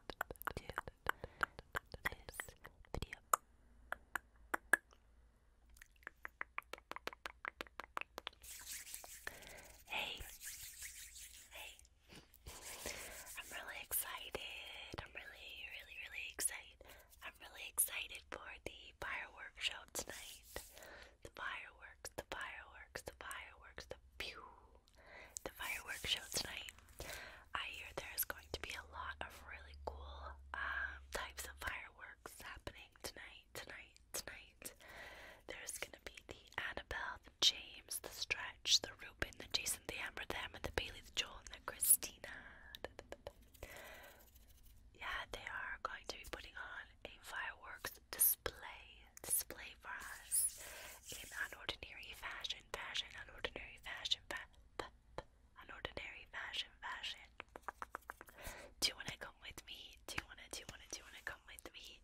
Hey, hey! I'm really excited. I'm really, really, really excited. I'm really excited for the fireworks show tonight. The fireworks, the fireworks, the fireworks, the pew, the fireworks show tonight. I hear there's going to be a lot of really cool um, types of fireworks happening tonight, tonight, tonight. There's going to be the Annabelle, the James, the Stretch, the Reuben, the Jason, the Amber, the Emma, the Bailey, the Joel, the Christina. Yeah, they are going to be putting on a fireworks display, display for us in unordinary fashion, fashion, unordinary fashion, fashion an ordinary fashion fashion. Do you wanna come with me? Do you wanna do you wanna do you wanna come with me?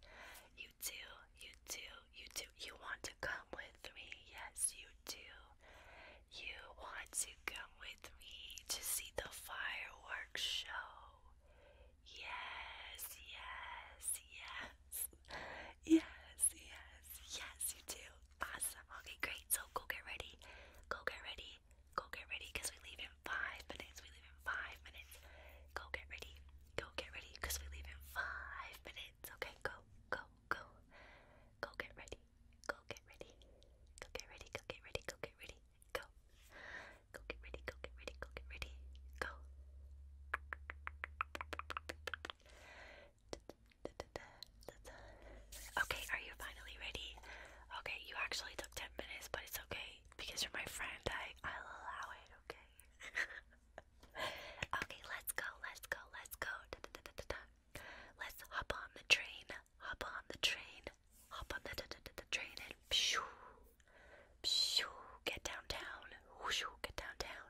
You do, you do, you do. You want to come with me? Yes, you do. You want to come with me to see the fireworks show. Yes, yes, yes. Yes, yes, yes, you do. Awesome. Okay, great. So go get ready. Go get ready. Go get ready because we leave in five minutes. We leave in five minutes. Go get ready. Go get ready because we leave in five minutes. Okay, go, go, go. Go get ready. Go get ready. Go get ready. Go get ready. Go get ready. Go. Go get ready. Go get ready. Go get ready. Go. Okay, are you finally ready? Okay, you actually took 10 minutes, but it's okay because you're my friend. I, I'll allow it, okay? okay, let's go, let's go, let's go. Let's hop on the train, hop on the train, hop on the, da, da, da, the train, and pshoo, pshoo, get downtown, whoosh, get downtown.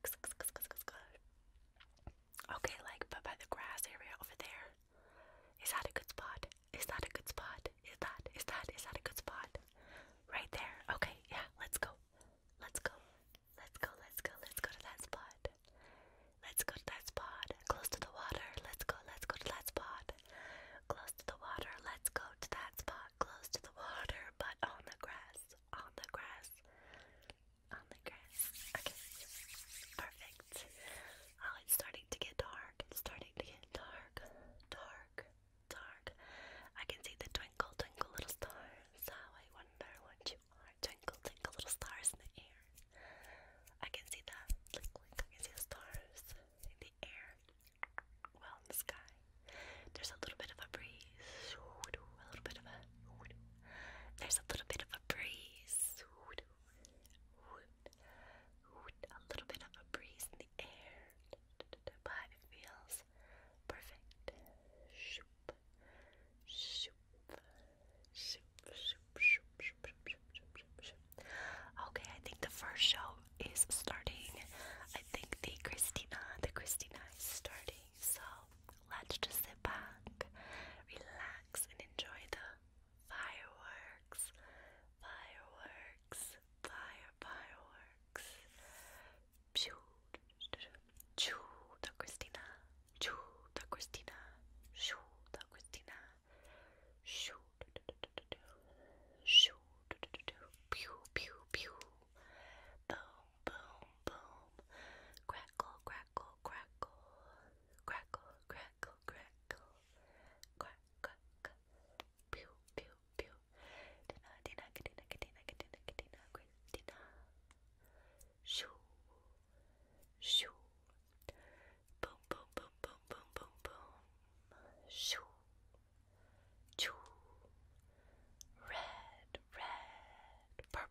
Okay, like but by the grass area over there. Is that a good spot? Is that a good spot? Is that is that is that a good spot? Right there. Okay, yeah, let's go. Let's go. Let's go, let's go, let's go to that spot. Let's go to that spot. Close to the water. Let's go, let's go to that spot. Close to the water. Let's go to that spot. Close to the water, but on the grass on the grass. On the grass. Okay. Perfect. Oh, it's starting to get dark. It's starting to get dark. Dark. Dark. I can see the twinkle, twinkle little stars. How I wonder what you are. Twinkle, twinkle little stars in the air. I can see the, like, I can see the stars in the air. Well, in the sky. There's a little bit of a breeze. A little bit of a. There's a little bit of a breeze. A little bit of a breeze in the air. But it feels perfect. Okay, I think the first show is starting. I think the Christina, the Christina is starting. So let's just sit back, relax, and enjoy the fireworks, fireworks, fire fireworks. Choo, choo, the Christina, choo, the Christina, choo, the Christina, choo, choo, pew, pew, pew boom, boom, boom, crackle, crackle, crackle, crackle, crackle, crackle, crack, crack, crack, pew, pew, pew, Dina, Dina, Katina, Katina, Katina, Katina, Christina, shoo, shoo, boom, boom, boom, boom, boom, boom, boom, shoo. Choo. Red, red, purple,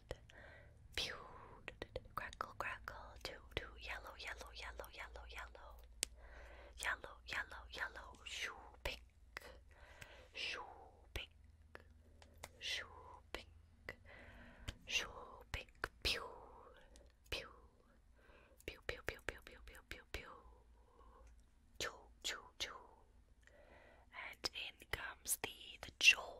Pew. Crackle, crackle. Two, two. Yellow, yellow, yellow, yellow, yellow. Yellow, yellow, yellow. Shoo, pink. Shoo, pink. Shoo, pink. Shoo, pink. Pew. Pew. Pew, pew, pew, pew, pew, pew, pew, pew. Choo, choo, choo. And in comes the the jowl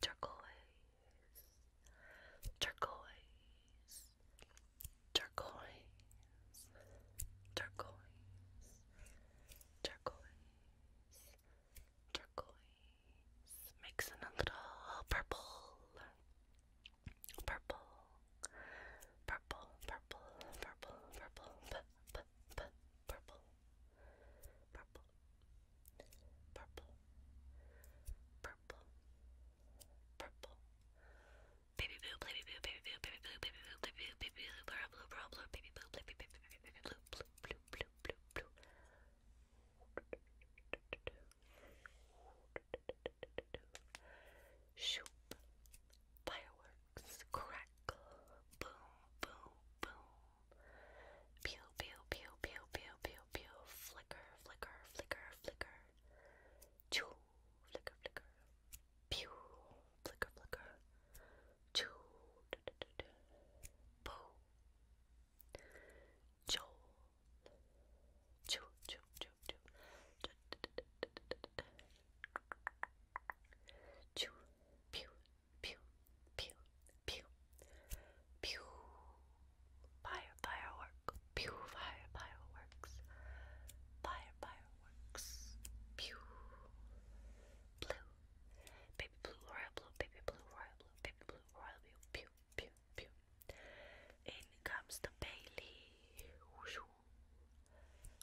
turquoise, turquoise, turquoise, turquoise, turquoise, turquoise, mix a little purple, purple, purple, purple, purple, purple, p purple purple purple purple purple baby blue baby blue baby blue baby blue baby blue baby blue baby blue baby blue blue blue blue blue blue blue Shoop fireworks crackle boom boom boom Pew, pew, pew, pew, pew, pew, pew. Flicker, flicker, flicker, flicker. Choo, flicker, flicker. Pew, flicker, flicker. Choo, da, da, da, da. Boo. Joel. Choo, choo, choo, choo. Da, da, da, da, da, da, da. Choo, pew, pew, pew, pew, pew, fire firework, pew fire fireworks, fire fireworks, pew, blue, baby blue, royal blue, baby blue, royal blue, baby blue, royal blue, pew, pew, pew. In comes the Bailey, whoosh,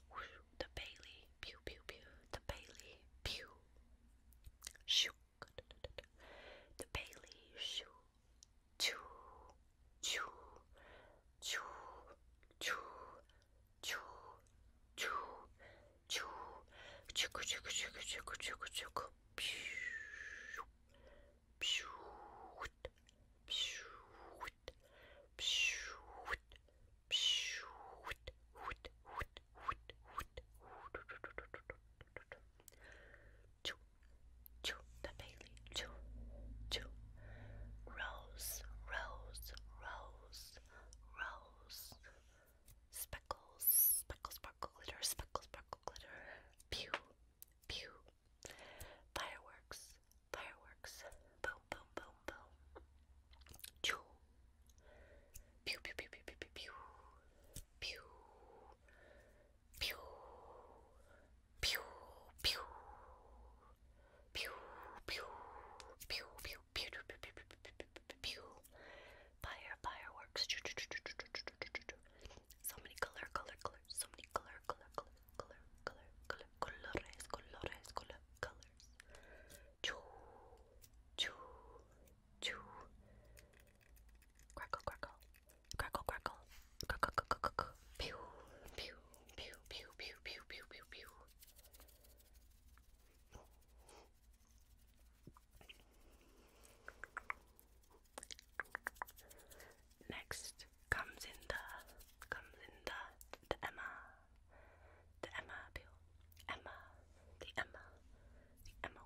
whoosh, the Bailey, pew, pew, pew, the Bailey, pew. Shoot, the Bailey shoe. Choo, choo, choo, choo, choo, choo, choo, choo, choo, choo, choo, choo, Shoot, shoot, shoot, shoot, Chew, chew the Bailey, chew, chew. Rose, rose, rose, rose. Speckles, speckles, sparkle, glitter, speckles, sparkle, glitter. Pew, pew. Fireworks, fireworks. Boom, boom, boom, boom. Chew, Pew pew pew pew pew pew pew pew pew pew pew pew pew pew pew pew pew fire fireworks so many color color color so many color color color color color color colores colores color colors choo choo Two, Crackle, crackle. Crackle, crackle. Crackle, crackle, crackle. Pew, pew, pew, pew, pew, pew, pew, pew, pew. Next comes in the comes in the the Emma the Emma pill Emma the Emma the Emma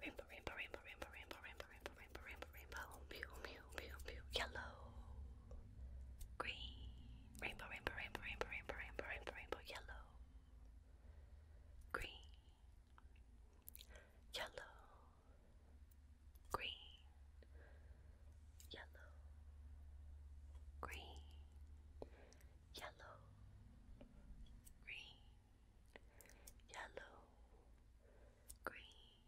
Rainbow, rainbow, rainbow, rainbow, rainbow, rainbow, rainbow, rainbow, rainbow, rainbow, pew, pew, pew, pew, yellow, green, rainbow, rainbow, rainbow, rainbow, rainbow, rainbow, rainbow, rainbow, yellow, green, yellow, green, yellow, green, yellow, green, yellow, green,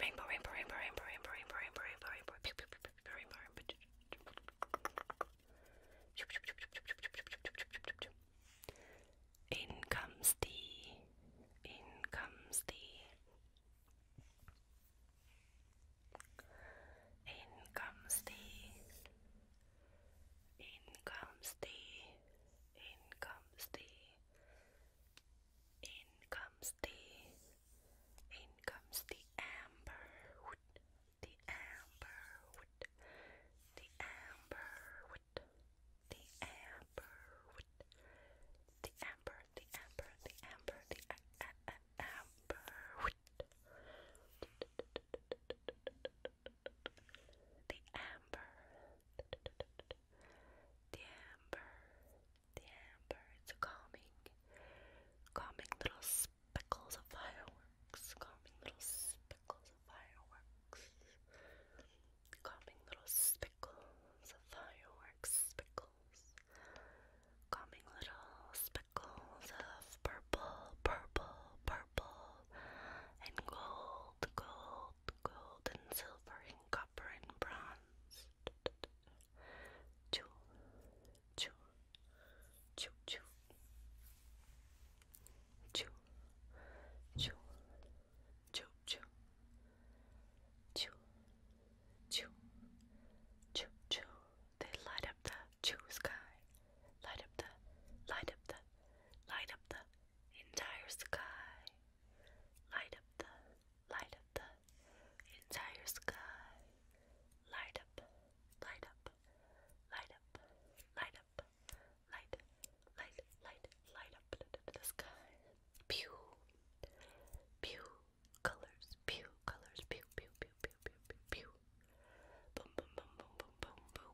rainbow, rainbow, rainbow, rainbow, rainbow, rainbow, rainbow, rainbow, rainbow, rainbow. In comes the, in comes the, in comes the, in comes the in comes the in comes the in comes the amber the amber the amber the amber the amber the amber the amber the amber the amber, the amber, the amber. It's a calming, calming little speckles of fireworks, calming little speckles of fireworks, calming little speckles of fireworks, speckles, calming little speckles of purple, purple, purple, and gold, gold, gold and silver and copper and bronze. Choo, choo, choo, choo, choo, choo, choo, choo, choo, choo, choo, choo. They light up the choo sky. Light up the, light up the, light up the entire sky. Light up the, light up the entire sky. Light up, light up, light up, light up, light, light, light, light up the, sky. Pew, pew, colors, pew, colors, pew, pew, pew, pew, pew, pew. Boom, boom, boom, boom, boom, boom, boom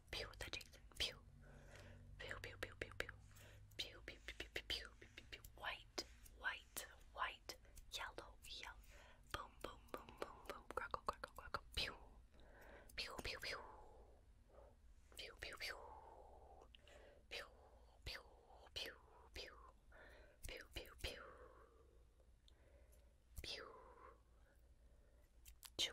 pew the Jason pew pew pew pew pew pew pew pew pew pew pew pew white white white yellow yellow boom boom boom boom boom crackle crackle crackle pew pew pew pew pew pew pew pew pew pew pew pew pew pew pew Chew,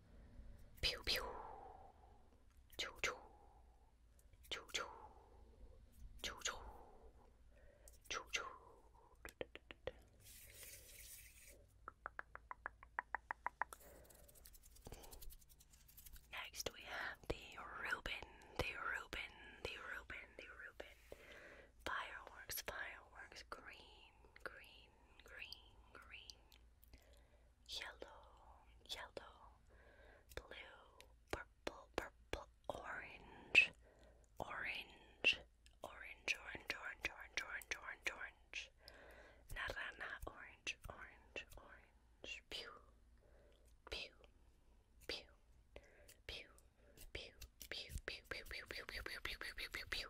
Pew pew. Choo choo. Choo choo. Choo choo. Choo choo. Next we have the Reuben, the Reuben, the Reuben, the Reuben. Fireworks, fireworks, green, green, green, green yellow, yellow, blue, purple, purple, orange, orange, orange, orange, orange, orange, orange, orange, orange, naranja, orange, orange, orange, pew, pew, pew, pew, pew, pew, pew, pew, pew, pew, pew, pew, pew, pew, pew, pew, pew,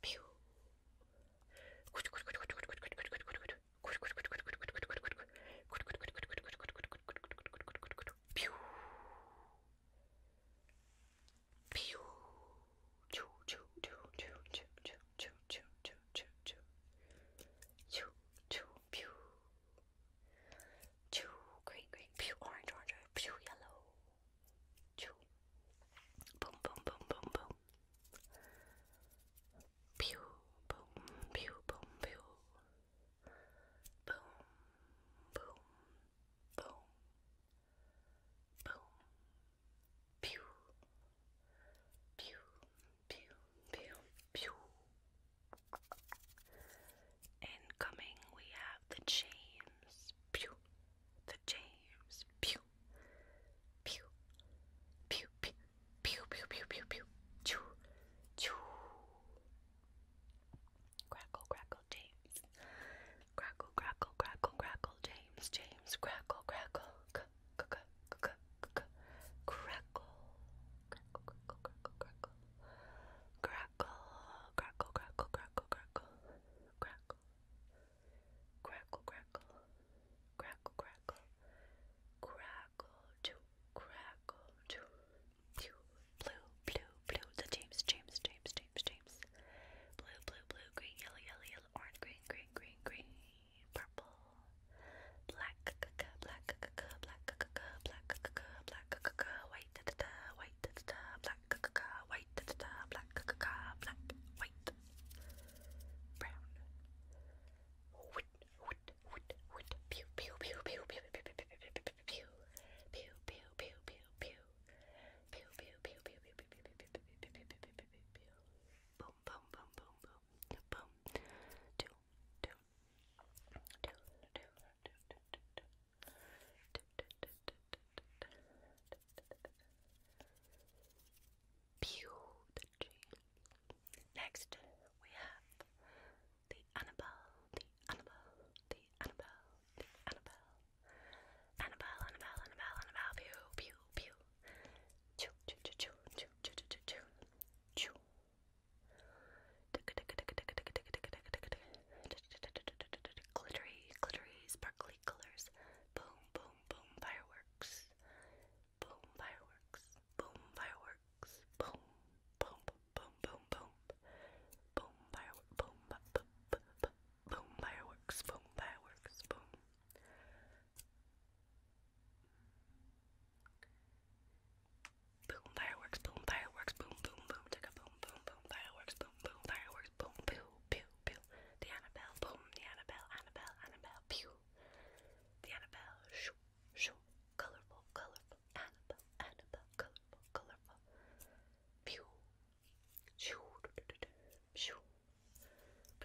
Pew. Pew. Pew. Choo choo choo choo choo choo choo choo choo choo choo. Choo choo pew. Choo green green pew orange orange pew yellow. Boom, boom, boom, boom, boom. Pew, boom, pew, boom, Boom, boom, boom. Boom. Pew. Pew, pew, pew, pew. Incoming, we have the James. Pew the James. Pew, pew, pew, pew, pew, pew, pew, pew, pew, choo, choo. Crackle, crackle, James. Crackle, crackle, crackle, crackle, James, James. Crackle, crackle, c, c, c, c, c, crackle, crackle, crackle, crackle, crackle, crackle, crackle, crackle, crackle, crackle, crackle, crackle, crackle, crackle, crackle, crackle, crackle, to crackle, to blue, blue, blue. The James, James, James, James, James. Blue, blue, blue, green, yellow, yellow, yellow, orange, green, green, green, green, purple, black, black, black, black, black, black, white white, da da da, white, da da da, black, ka ka ka, white, da da da, black, ka ka ka, black, white, brown, wood, wood, wood, wood, pew, pew, pew, pew, pew, pew, pew, pew, pew, pew, pew, pew, pew, pew, pew. Pew pew pew pew pew pew pew pew pew pew pew pew boom boom boom boom boom boom do do do do do do do do Beauty. Next, we have the Annabelle, the Annabelle, the Annabelle, the Annabelle, Annabelle, Annabelle, Annabelle, Annabelle, pew, pew, pew, choo, choo, choo, choo, choo, choo, choo, choo, choo. Glittery, glittery, sparkly colors. Boom, boom, boom, fireworks. Boom, fireworks. Boom, fireworks. Boom, boom, boom, boom, boom. Boom, fireworks. Boom, boom, boom, boom, fireworks. Boom, fireworks. Boom. Boom, fireworks. Boom, fireworks. Boom, boom, boom. Take a boom, boom, boom, fireworks. Boom, boom, fireworks course. Boom, pew, pew, pew. The Annabelle, boom, the Annabelle, Annabelle, Annabelle, pew. The Annabelle, shoo, shoo. Colorful, colorful, Annabelle, Annabelle, colorful, colorful. Pew. Shoo, do, do, do, do. shoo,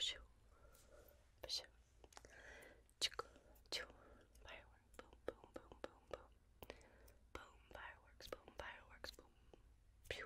shoo, shoo. Chick, choo. Fireworks, boom, boom, boom, boom, boom. Boom, fireworks, boom, fireworks, boom. Pew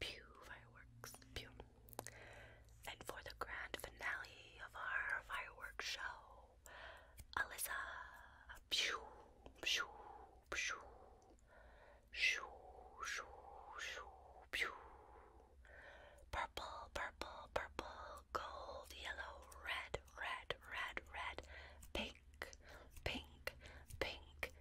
pew, fireworks, pew. And for the grand finale of our fireworks show, Alyssa, pew, pew, pew, shoo, shoo, pew. Purple, purple, purple, gold, yellow, red, red, red, red, pink, pink, pink,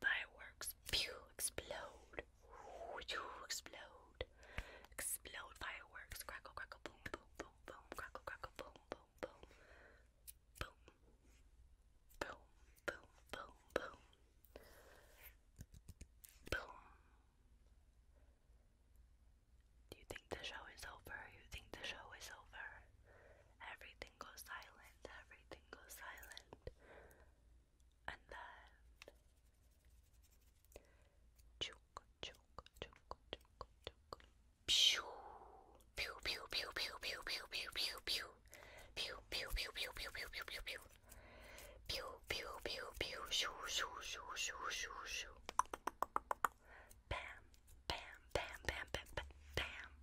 Fireworks. Pew! Explode. Pew! Explode. Explode fireworks. Crackle, crackle, boom, boom, boom, boom. Crackle, crackle, boom, boom, boom. Boom. Boom, boom, boom, boom. Boom. Do you think the show is over? You think the show is over? Everything goes silent. Everything goes silent and then choke, choke, choke, choke, choke. Pew, pew, pew, pew, pew, pew, pew, pew, pew, pew, pew, pew, pew, pew, pew, pew, pew, pew, pew. Pew pew pew pew shoo shoo shoo shoo shoo shoo Bam bam bam bam bam bam bam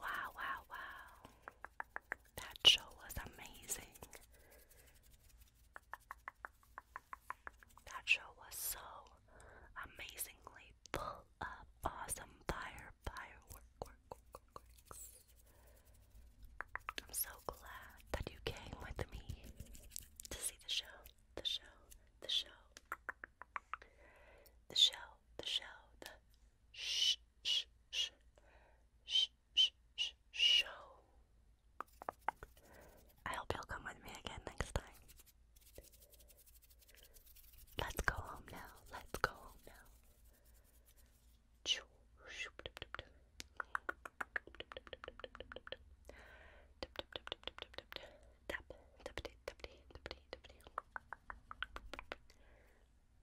Wow, wow, wow. That show was amazing. That show was so amazingly full of awesome fire, firework, I'm so glad that you came with me to see the show, the show, the show, the show, the show, shh, shh, shh, sh sh show. I hope you'll come with me again next time. Let's go home now. Let's go home now.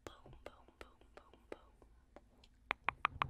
Boom, boom, boom, boom, boom.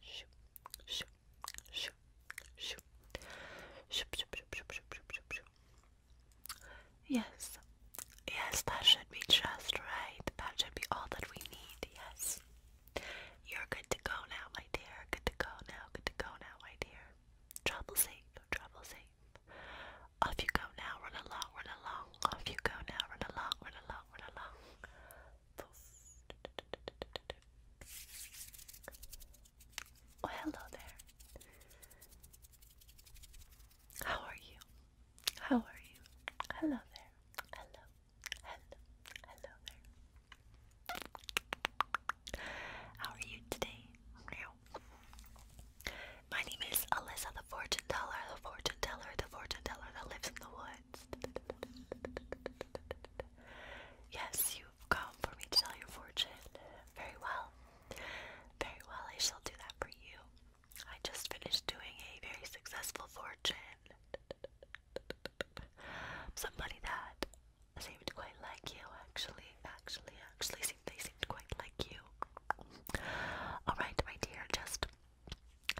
Shoo, shoo, shoo, shoo. Shoo, shoo, shoo, shoo, shoo, Yes, yes, that should be just right. That should be all that we need. Yes, you're good to go now, my dear. Good to go now. Good to go now, my dear. Trouble safe, trouble safe. Off you go now, run along, run along. Off you go now, run along, run along, run along. Oh, hello there. How are you? How are you? Hello there. Hello. Hello. Hello there. How are you today? My name is Alyssa, the fortune teller, the fortune teller, the fortune teller that lives in the woods. Yes, you've come for me to tell your fortune. Very well. Very well, I shall do that for you. I just finished doing a very successful fortune. Somebody that seemed quite like you, actually, actually, actually, seemed, they seemed quite like you. Alright, my dear, just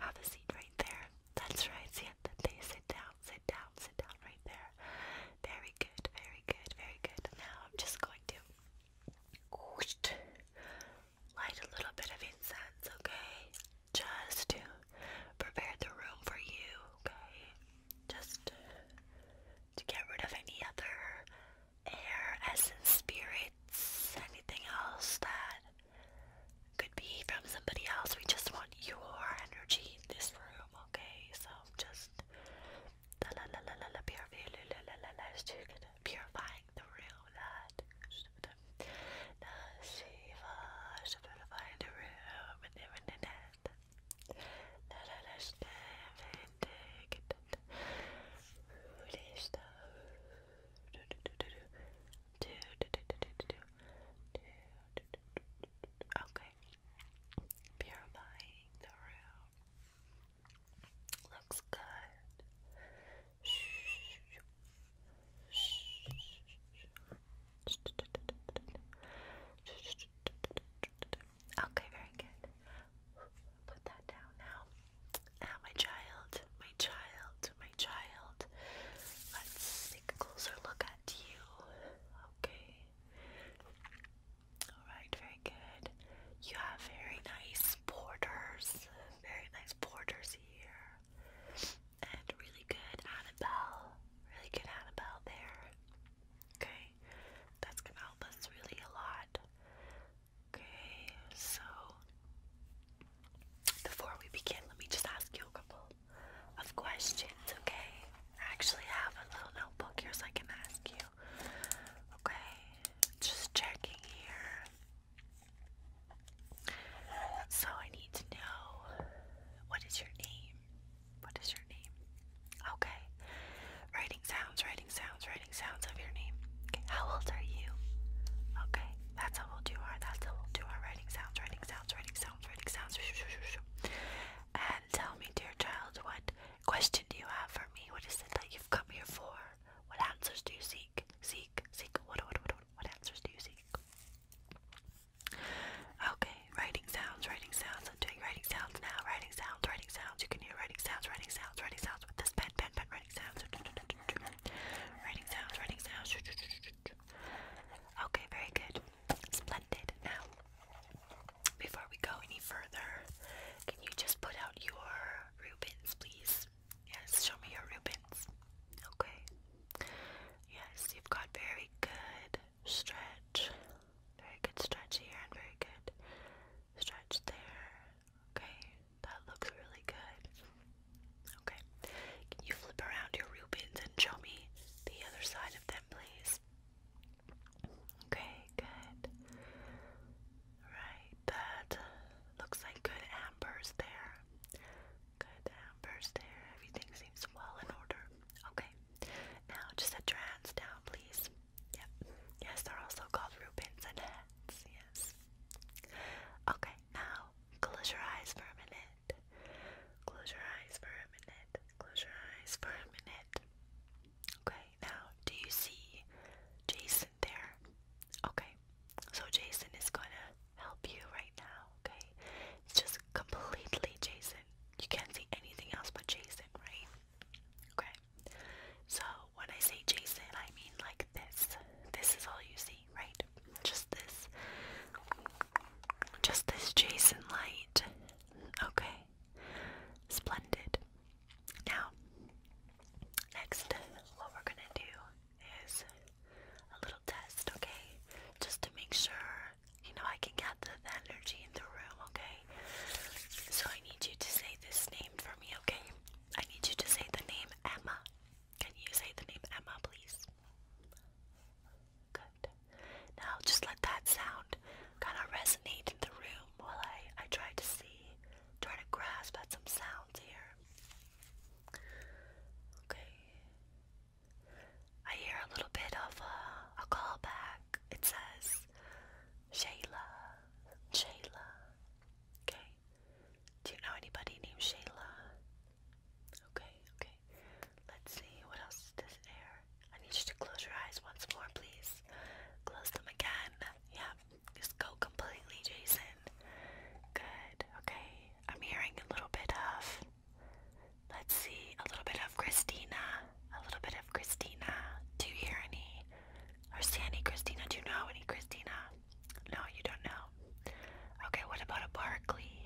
have a seat right there. That's right. See sit down, sit down, sit down right there. Very good, very good, very good. Now I'm just going to light a little bit of incense, okay? Just to prepare the room for you, okay? Just to get rid of any other air, essence, spirit rights, anything else that could be from somebody else. We just want your energy in this room, okay? So just purifying the room, that Shiva, purifying the room, and even in it. Let us live in the Buddhist. Okay. Purifying the room. Looks good. Okay, very good. Put that down now. Ah, my child, my child, my child. Let's take a closer look at you. Okay. Alright, very good. You have very nice borders. Very nice borders here. And really good Annabelle. Really good Annabelle there. Okay. That's gonna help us really a lot. Okay, so before we begin, let me just ask you a couple of questions, okay? I actually have a little notebook here so I can ask you. Okay, just checking here. So I need to know what is your name? What is your name? Okay, writing sounds, writing sounds, writing sounds of your name how old are you? Okay, that's how we'll do that's how we'll do writing sounds, writing sounds, writing sounds, writing sounds. And tell me, dear child, what question do you have for me? What is it that you've come here for? What answers do you seek? Seek, seek. what what, what answers do you seek? Okay, writing sounds, writing sounds. I'm doing writing sounds now. Writing sounds, writing sounds. You can hear writing sounds, writing sounds, writing sounds with this pen, pen, pen. Writing sounds. Writing sounds, writing sounds. Okay, very good. Splendid. Now, before we go any further, can you just put out your rubins, please? Yes, show me your rubins. Okay. Yes, you've got very good stretch. Very good stretch here and very good stretch there. Okay, that looks really good. Okay, can you flip around your Rubens and show me the other side of them, please? Okay, good. Right, that looks like good ambers there. Good ambers there. Everything seems well in order. Okay, now just set your hands down, please. Yep. Yes, they're also called Rubens and hats. Yes. Okay, now, close your eyes for a minute. Close your eyes for a minute. Close your eyes for a minute. Okay, now, do you see Jason there? Okay, so Jason is gonna help you right now, okay? It's just completely Jason. You can't see anything else but Jason, right? Okay, so when I say Jason, I mean like this. This is all you see right? Just this. Just this Jason light. Okay. Splendid. Now, next, what we're gonna do is a little test, okay? Just to make sure, you know, I can get the energy in the room, okay? So I need you to say this name for me, okay? I need you to say the name Emma. Can you say the name Emma, please? Good. Now just let that sound kind of resonate in the room while I, I try to see, try to grasp at some sounds here. Okay. I hear a little bit of a, callback. It says, Shayla, Shayla. Okay. Do you know anybody named Shayla? Okay, okay. Let's see, what else is this air? I need you to close your eyes once more, please. Close them again. Yeah, just go completely, Jason. Good, okay. I'm hearing a little bit of, let's see, a little bit of Christina. A little bit of Christina. Do you hear any? Or Sandy Christina? Do you know any Christina? No, you don't know. Okay, what about a Barkley?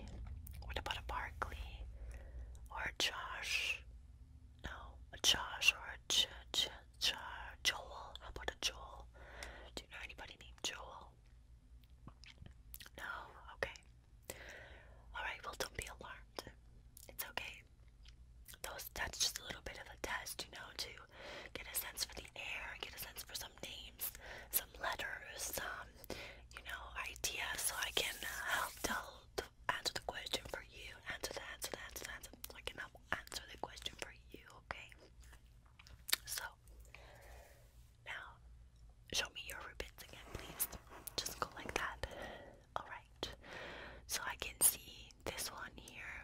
What about a Barkley? Or a Josh? No, a Josh or a J J J Joel. How about a Joel? Do you know anybody named Joel? No? Okay. Alright, well, don't be alarmed. It's okay. Those, that's just a little bit of a test, you know, to get a sense for the air, get a sense for some names, some letters, some, you know, ideas so I can uh, help to answer the question for you, answer the answer the answer the answer, I can help answer the question for you, okay? So, now, show me your ribbons again, please. Just go like that. Alright. So I can see this one here,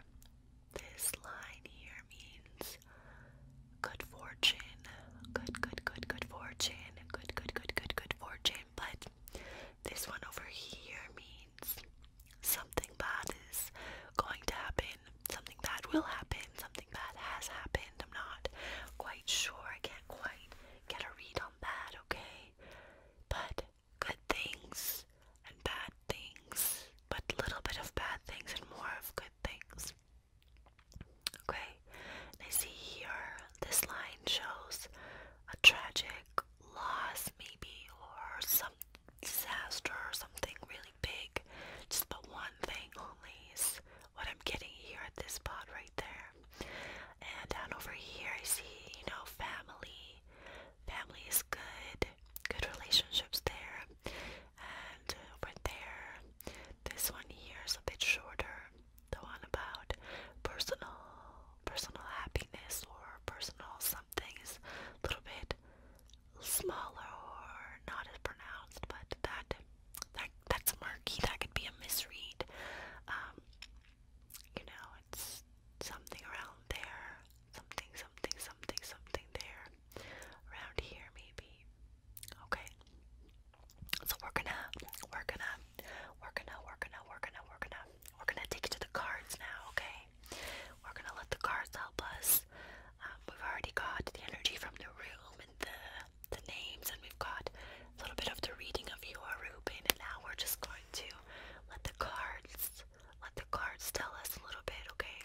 this line here means good fortune, good, good, good, good fortune, good, good, good, good, good fortune. But this one over here means something bad is going to happen, something bad will happen, something bad has happened. I'm not quite sure, I can't quite get a read on that, okay? But good things and bad things, but little bit of bad things and more of good things. Okay, I see here this line shows a tragic loss, maybe, or some disaster or something really big. Just the one thing only is what I'm getting here at this spot right there. And down over here, I see, you know, family. Family is good, good relationships there. And over there, this one here is a bit shorter. The one about personal personal happiness or personal something is a little bit smaller or not as pronounced, but that that that's murky. That could be a misread. Um, you know, it's something around there. Something, something, something, something there. Around here, maybe. Okay. So we're gonna, we're gonna, we're gonna, we're gonna, we're gonna, we're gonna, we're gonna take it to the cards now. Okay. We're gonna let the cards help us. Um, we've already got the energy from the room and the the names, and we've got a little bit of the reading of you are Ruben, and now we're just going to let the cards, let the cards tell us a little bit. Okay.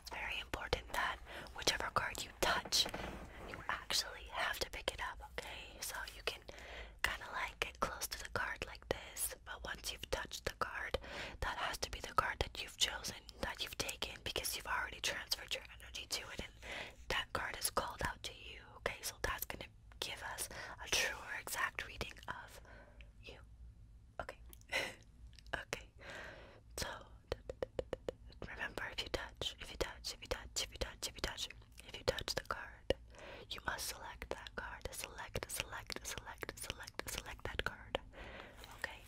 It's very important that whichever card you touch, you actually have to pick it up, okay? So you can kind of like get close to the card like this, but once you've touched the card, that has to be the card that you've chosen, that you've taken, because you've already transferred your energy to it, and that card is called out to you, okay? So that's going to give us a true or exact reading of you. Okay. okay. So remember if you touch, if you touch, if you touch, if you touch, if you touch, if you touch the card, you must select that card. Select, select, select, select, select that card. Okay?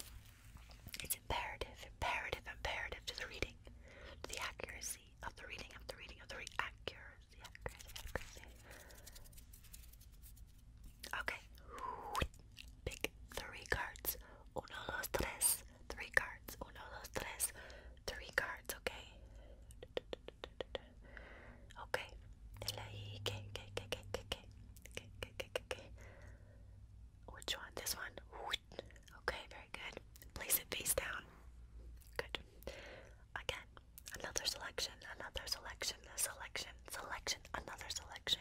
It's imperative, imperative, imperative to the reading, to the accuracy of the reading, of the reading, of the accuracy, accuracy, accuracy. Okay. Pick three cards. Uno, dos, tres. Three cards. Uno, dos, tres. Three cards, okay? Okay. Which one? This one? Okay, very good. Place it face down. Good. Again, another selection, another selection, selection, selection, another selection.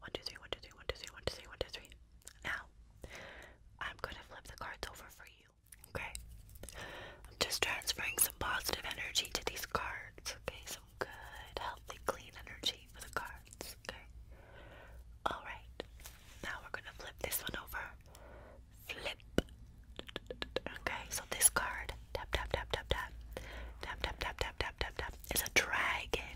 One, two, three, one, two, three, one, two, three, one, two, three, one, two, three. Now, I'm gonna flip the cards over for you, okay? I'm just transferring some positive energy to these cards, okay? Some good, healthy, clean energy for the cards, okay? Alright, now we're gonna flip this one over. Flip. Okay, so this card, tap, tap, tap, tap, tap, tap, tap, tap, tap, tap, tap, tap, is a dragon.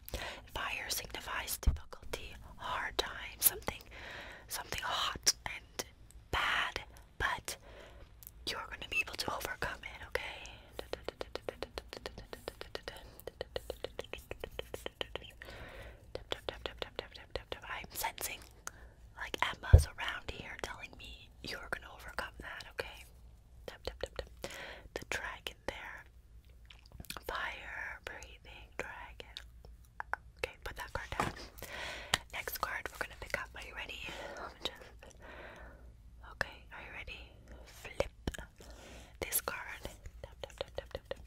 Fire signifies difficulty, hard time, something something hot and bad, but you're gonna be able to overcome it, okay? I'm sensing like Emma's around here telling me you're gonna overcome that, okay? The dragon there. Fire, breathing, dragon. Okay, put that card down. Next card we're gonna pick up. Are you ready? Just... Okay, are you ready? Flip this card. Tap tap tap tap tap tap.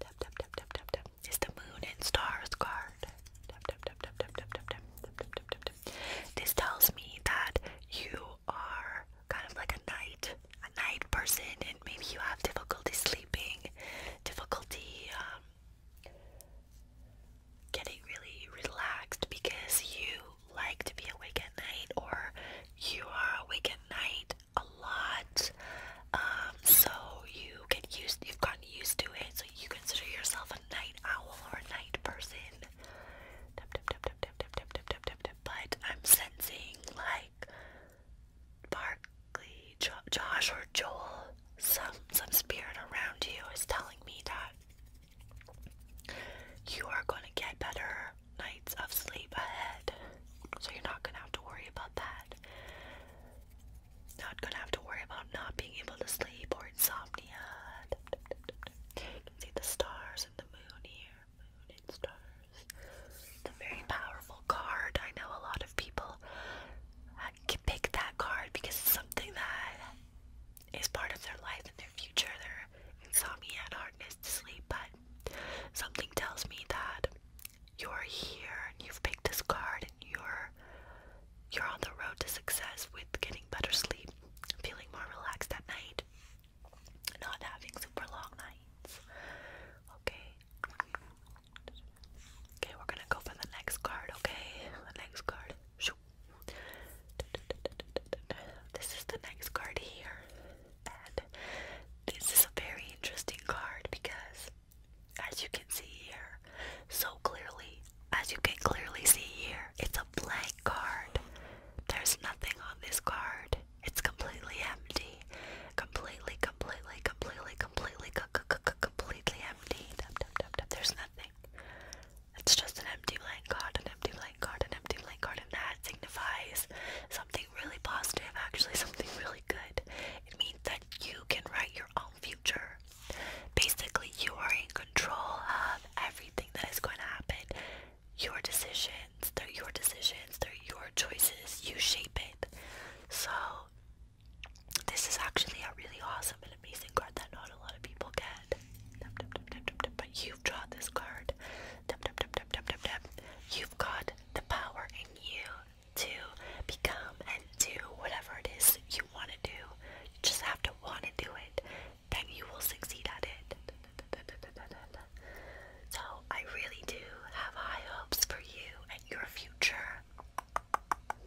Tap tap tap tap tap tap. It's the moon and stars card. Tap tap tap tap tap tap tap tap tap tap tap. This tells me that you are kind of like a knight a night person and maybe you have difficulty sleeping, difficulty um, getting really relaxed because you like to be awake at night or you are awake at night a lot um, so you get used you've gotten used to it so you consider yourself a night owl or a night person but I'm sensing like Barkley, Josh, or Joel, some some spirit around you is telling me that you are going to get better nights of sleep ahead. So you're not going to have to worry about that. Not going to have to worry about not being able to sleep or insomnia. You can see the stars and the moon here moon, very powerful card. I know a lot of people uh, can pick that card because it's something that is part of their life and their future. Their insomnia and hardness to sleep, but something tells me that you're here and you've picked this card and you're you're on the road to success with getting better sleep, feeling more relaxed at night not having super long nights. Okay. Okay, we're gonna go for the next card, okay? The next card. This is the next card here. And this is a very interesting card because as you can see here, so clearly, as you can clearly see here, it's a blank card. There's nothing on this card. It's completely empty. Completely, completely, completely, completely, completely empty. There's nothing. It's just an empty blank card, an empty blank card, an empty blank card, and that signifies something really positive, actually, something really good. It means that you can write your own future. Basically, you are in control of everything that is going to happen your decisions. They're your decisions. They're your choices. You shape it. So this is actually a really awesome and amazing card that not a lot of people get. But you've drawn this card. You've got the power in you to become and do whatever it is you want to do. You just have to want to do it. Then you will succeed at it. So I really do have high hopes for you and your future.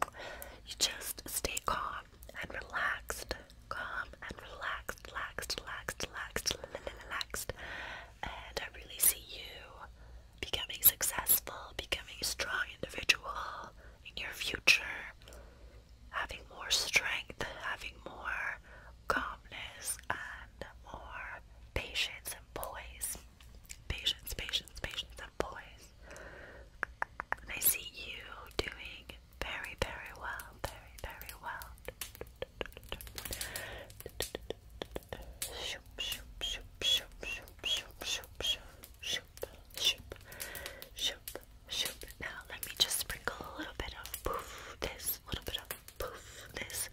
You just stay calm and relaxed. Calm and relaxed, relaxed, relaxed, relaxed, relaxed. And I really see you becoming successful, becoming a strong individual in your future, having more strength, having more calmness, and or patience and poise. Patience, patience, patience, and poise. I see you doing very, very well. Very, very well. Shoop, shoop, shoop, shoop, shoop, shoop, shoop, shoop, shoop, shoop, shoop. Now let me just sprinkle a little bit of poof, this, a little bit of poof, this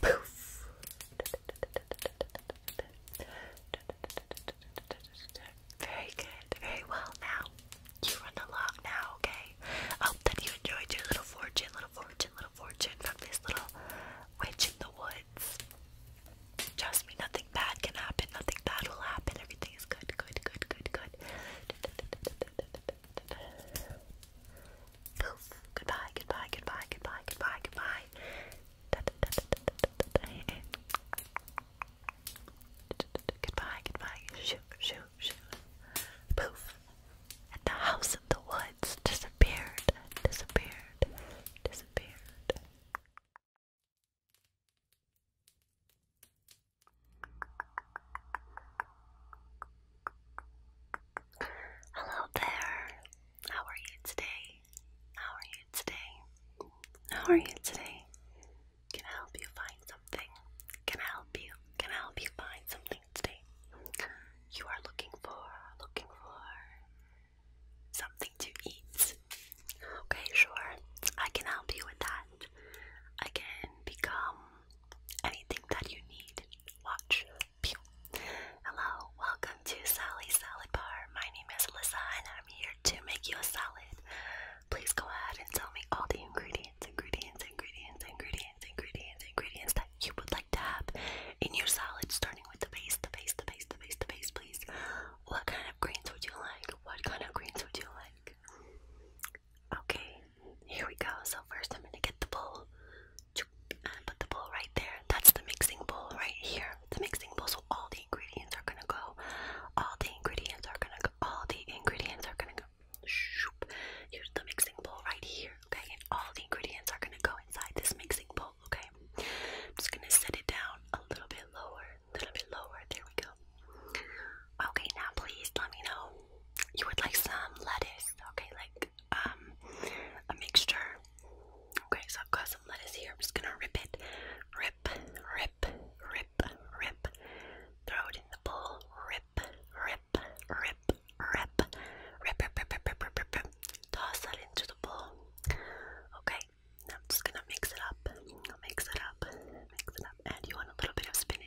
poof. Very good, very well now. You run along now, okay? I hope that you enjoyed your little fortune, little fortune, little fortune from this little witch in the woods. Trust me, nothing bad can happen, nothing bad will happen, everything is good, good, good, good, good. Poof. Goodbye, goodbye, goodbye, goodbye, goodbye, goodbye. Goodbye, goodbye. Shoo, shoo, shoo. Poof. And the house in the woods disappeared, disappeared, disappeared. Hello there. How are you today? How are you today? How are you today? Can I help you find something? Can I help you? Can I help you find something today? You are looking for, looking for something to eat. Okay, sure. I can help you with that. I can become anything that you need, watch. Hello, welcome to Sally's Salad Bar. My name is Alyssa and I'm here to make you a salad. Please go ahead and tell me all the ingredients, ingredients, ingredients, ingredients, ingredients, ingredients that you would like to have in your salad, starting with the base, the base, the base, the base, the base, please. What kind of greens would you like? What kind of greens would you like? Okay, here we go. So first I'm gonna get the bowl and put the bowl right there. That's the mixing bowl right here. The mixing bowl. So all the ingredients are gonna go. All the ingredients are gonna go. All the ingredients are gonna go. Here's the mixing bowl right here. Okay, and all the ingredients are gonna go inside this mixing bowl. Okay, I'm just gonna set it down a little bit lower, a little bit lower. There we go. Okay, now please let me know. You would like some lettuce, okay, like um a mixture. Okay, so I've got some lettuce here. I'm just gonna rip it. Rip, rip, rip, rip. Throw it in the bowl. Rip, rip, rip, rip. Rip, rip, rip, rip, rip, rip, Toss that into the bowl. Okay, now I'm just gonna mix it up. mix it up. Mix it up. And you want a little bit of spinach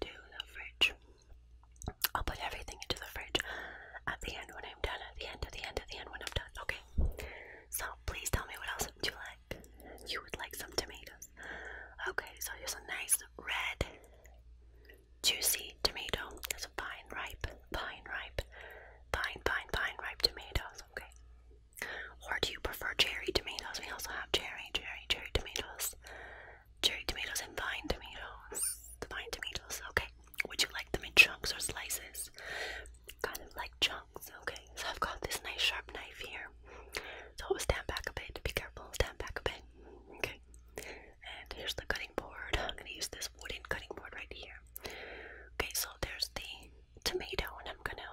into the fridge. I'll put everything into the fridge at the end when I'm done. At the end, at the end, at the end when I'm done. Okay. So please tell me what else would you like? You would like some tomatoes. Okay, so here's a nice red, juicy tomato. That's a pine ripe, pine ripe, pine, pine, pine ripe tomatoes. Okay. Or do you prefer cherry tomatoes? We also have cherry, cherry, cherry tomatoes cherry tomatoes, and vine tomatoes. vine tomatoes, okay. Would you like them in chunks or slices? Kind of like chunks, okay. So I've got this nice sharp knife here. So stand back a bit. Be careful. Stand back a bit. Okay. And here's the cutting board. I'm gonna use this wooden cutting board right here. Okay, so there's the tomato, and I'm gonna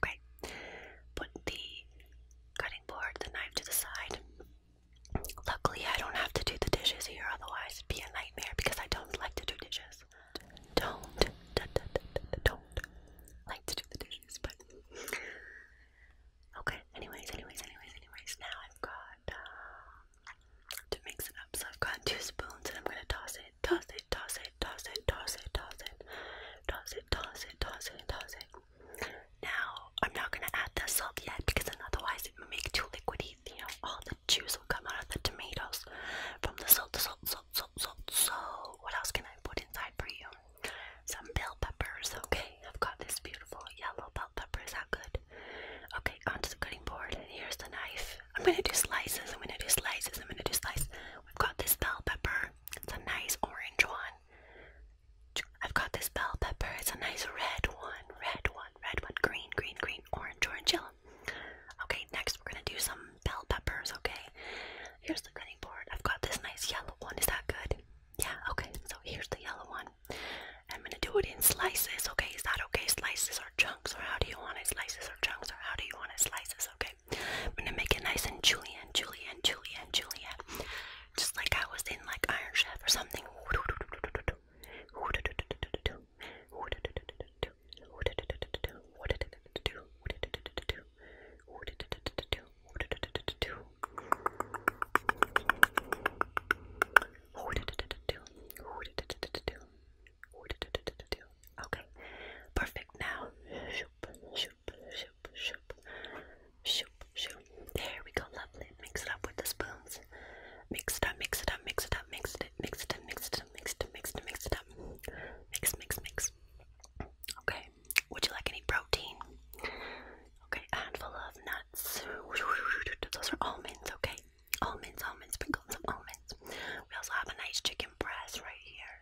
Great. Put the cutting board, the knife to the side. Luckily, I don't have to do the dishes here, otherwise, be a nightmare because I don't like to do dishes. Don't, don't like to do the dishes, but okay. Anyways, anyways, anyways, anyways. Now I've got um, to mix it up, so I've got two spoons, and I'm gonna toss it, toss it, toss it, toss it, toss it, toss it, toss it, toss it, toss it, toss it. Now I'm not gonna add the salt yet because otherwise it will make too liquidy. You know, all the juice will come out of the tomatoes from the salt, salt, salt, salt, salt. So what else can I put inside for you? Some bell peppers, okay? I've got this beautiful yellow bell pepper. Is that good? Okay, onto the cutting board. here's the knife. I'm gonna do slices. I'm gonna do slices. I'm gonna do slices. I've got this bell pepper. It's a nice orange one. I've got this bell pepper. It's a nice red one, red one, red one, green, green, green, orange, orange, yellow. Okay, next we're gonna do some bell peppers, okay? Here's the cutting board. I've got this nice yellow one. Is that good? Yeah, okay. So here's the yellow one. I'm gonna do it in slices, okay? Is that okay? Slices or chunks, or how do you want it? Slices or chunks, or how do you want it? Slices, okay? right? I'm gonna make it nice and julienne, julienne, julienne, julienne. Just like I was in like Iron Chef or something. Okay, perfect. Now, shoop, shoop, shoop, shoop, shoop, shoop. There we go, lovely. Mix it up with the spoons. Mix it up, mix it up, mix it up, mix it, mix it, mix it, mix it, mix it, mix it up. Mix, mix, mix. Okay. Would you like any protein? Okay, a handful of nuts. Those are almonds, okay? Almonds, almonds, sprinkle some almonds. We also have a nice chicken breast right here.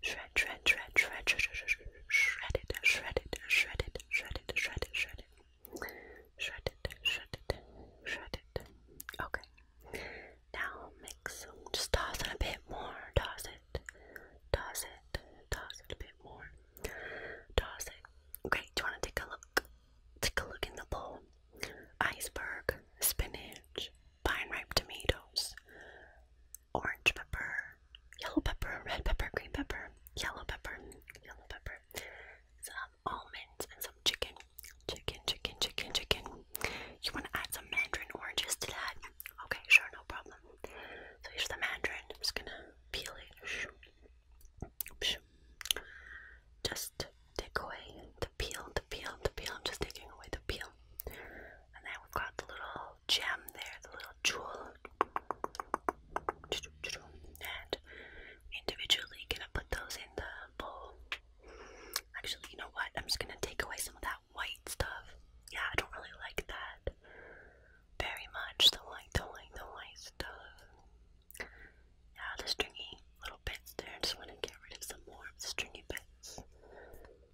shred, shred, shred, shred, shred, shred it, shred it, shred it, shred it, shred it, shred it, shred it, shred it, shred it. Okay. Now mix. Just toss it a bit more. Toss it, toss it, toss it a bit more. Toss it. Great. Do you want to take a look? Take a look in the bowl. Iceberg, spinach, vine ripe tomatoes, orange pepper, yellow pepper, red pepper, green pepper, yellow pepper, yellow pepper, some almonds, and some chicken. Chicken, chicken, chicken, chicken. You want to add some mandarin oranges to that? Okay, sure, no problem. So here's the mandarin. I'm just gonna peel it. Just take away the peel, the peel, the peel. I'm just taking away the peel. And then we've got the little gem there, the little jewel. And individually gonna put those in the bowl. Actually, you know what? I'm just gonna take away some of that white stuff. Yeah, I don't really like that very much. The white, the white, the white stuff. Yeah, the stringy little bits there. just wanna get rid of some more stringy bits.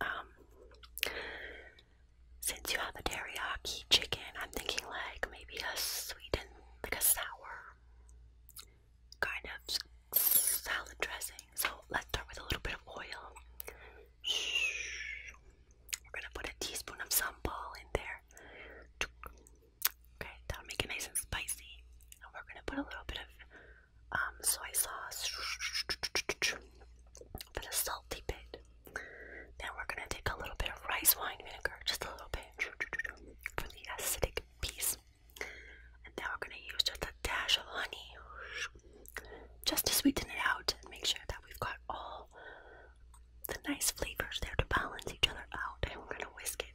Um, since you have a teriyaki chicken, I'm thinking like maybe a sweet and like a sour kind of salad dressing. So let's start with a little bit of oil. We're gonna put a teaspoon of sambal in there. Okay, that'll make it nice and spicy. And we're gonna put a little bit of um, soy sauce for the salty bit. Then we're gonna take a little bit of rice wine vinegar, just a little bit for the acidic piece. And then we're gonna use just a dash of honey just to sweeten it out and make sure that we've got all the nice flavors there to balance each other out. And we're gonna whisk it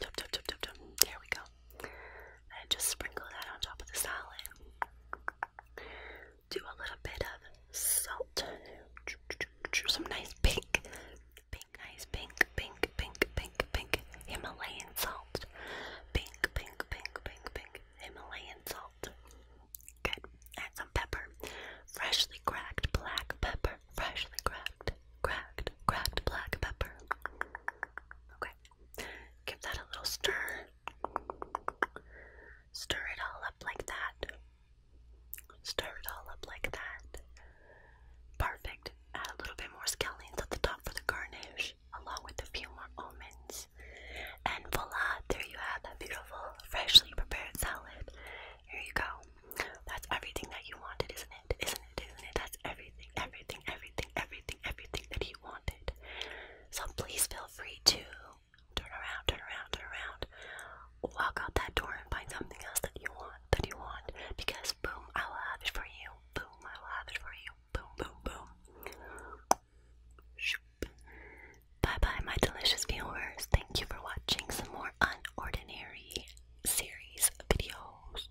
Dum, dum, dum, dum, dum. There we go. And just sprinkle that on top of the salad. Do a little bit of salt. Some nice pink, pink, nice pink, pink, pink, pink, pink Himalayan salt. Pink, pink, pink, pink, pink Himalayan salt. Good. Add some pepper. Freshly cracked black pepper freshly cracked, cracked, cracked black pepper. Okay, give that a little stir. Stir it all up like that. Stir it all up like that. Perfect. Add a little bit more scallions at the top for the garnish, along with a few more almonds. And voila, there you have that beautiful, freshly prepared salad. Here you go. That's everything that you wanted, isn't it? Isn't it? Isn't it? That's everything, everything, everything, everything, everything that you wanted. So please feel free to turn around, turn around, turn around. Walk out that door and find something else that you want, that you want. Because boom, I will have it for you. Boom, I will have it for you. Boom, boom, boom. Bye bye, my delicious viewers. Thank you for watching some more unordinary series videos.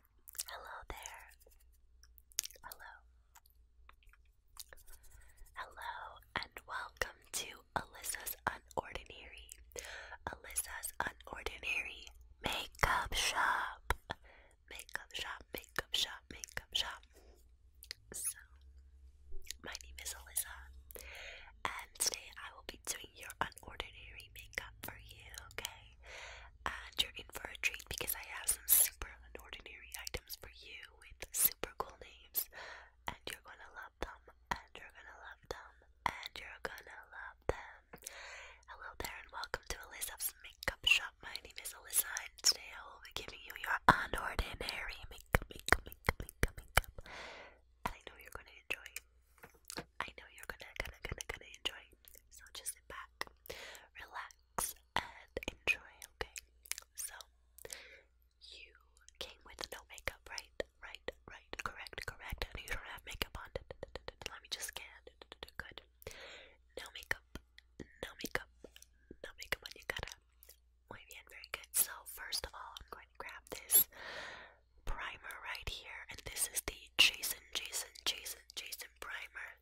Hello there. Hello. Hello and welcome to Alyssa's Unordinary. Alyssa's Unordinary Makeup Shop. Makeup Shop, Makeup Shop, Makeup Shop. So, my name is Alyssa, and today I will be doing your unordinary makeup for you, okay? and you're in for a treat because I have some super unordinary items for you with super cool names, and you're gonna love them, and you're gonna love them, and you're gonna love them. Hello there, and welcome to Alyssa's Makeup Shop. My name is Alyssa, and today I will be giving you your unordinary makeup, makeup, makeup, makeup, makeup, and I know you're gonna enjoy. I know you're gonna, gonna, gonna, gonna enjoy. So just sit back, relax, and enjoy, okay? So, you came with no makeup, right? Right, right, correct, correct. And you don't have makeup on. Let me just scan. Good. No makeup, no makeup, no makeup on you, gotta. Muy bien, very good. So, first of all, I'm going to grab this primer right here, and this is the Jason, Jason, Jason, Jason primer.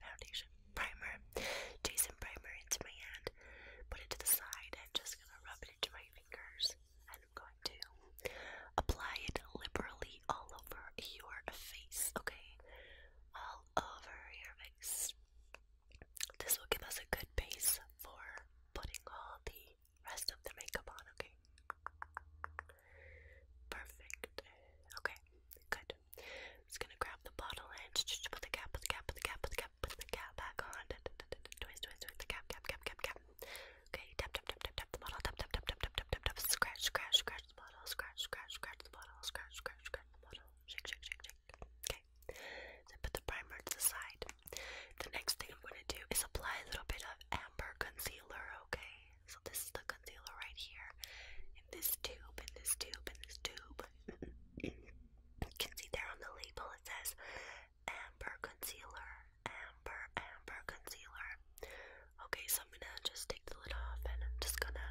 foundation primer, Jason primer into my hand, put it to the side, and just gonna rub it into my fingers. And I'm going to apply it liberally all over your face, okay? All over your face. This will give us a good base for putting all the rest of the makeup on, okay? Perfect. Okay, good it. I'm just gonna grab the bottle and put the cap, put the cap, put the cap, put the cap, put the cap back on. Twist, twist, twist the cap, cap, cap, cap, cap. Okay, tap, tap, tap, tap, tap the bottle, tap, tap, tap, tap, tap, tap, tap, tap. Scratch, scratch, scratch the bottle, scratch, scratch, scratch the bottle, scratch, scratch, scratch the bottle. Shake, shake, shake, shake. Okay. So put the primer to the side. The next thing I'm gonna do is apply a little bit of amber concealer. Okay. So this is the concealer right here in this tube, in this tube, in this tube. you can see there on the label it says Amber Concealer, Amber, Amber Concealer. Okay, so I'm gonna just take the lid off and I'm just gonna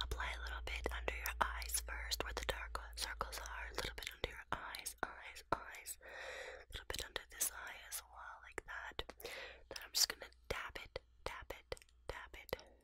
apply a little bit under your eyes first, where the dark circles are, a little bit under your eyes, eyes, eyes, a little bit under this eye as well, like that. Then I'm just gonna dab it, dab it, dab it,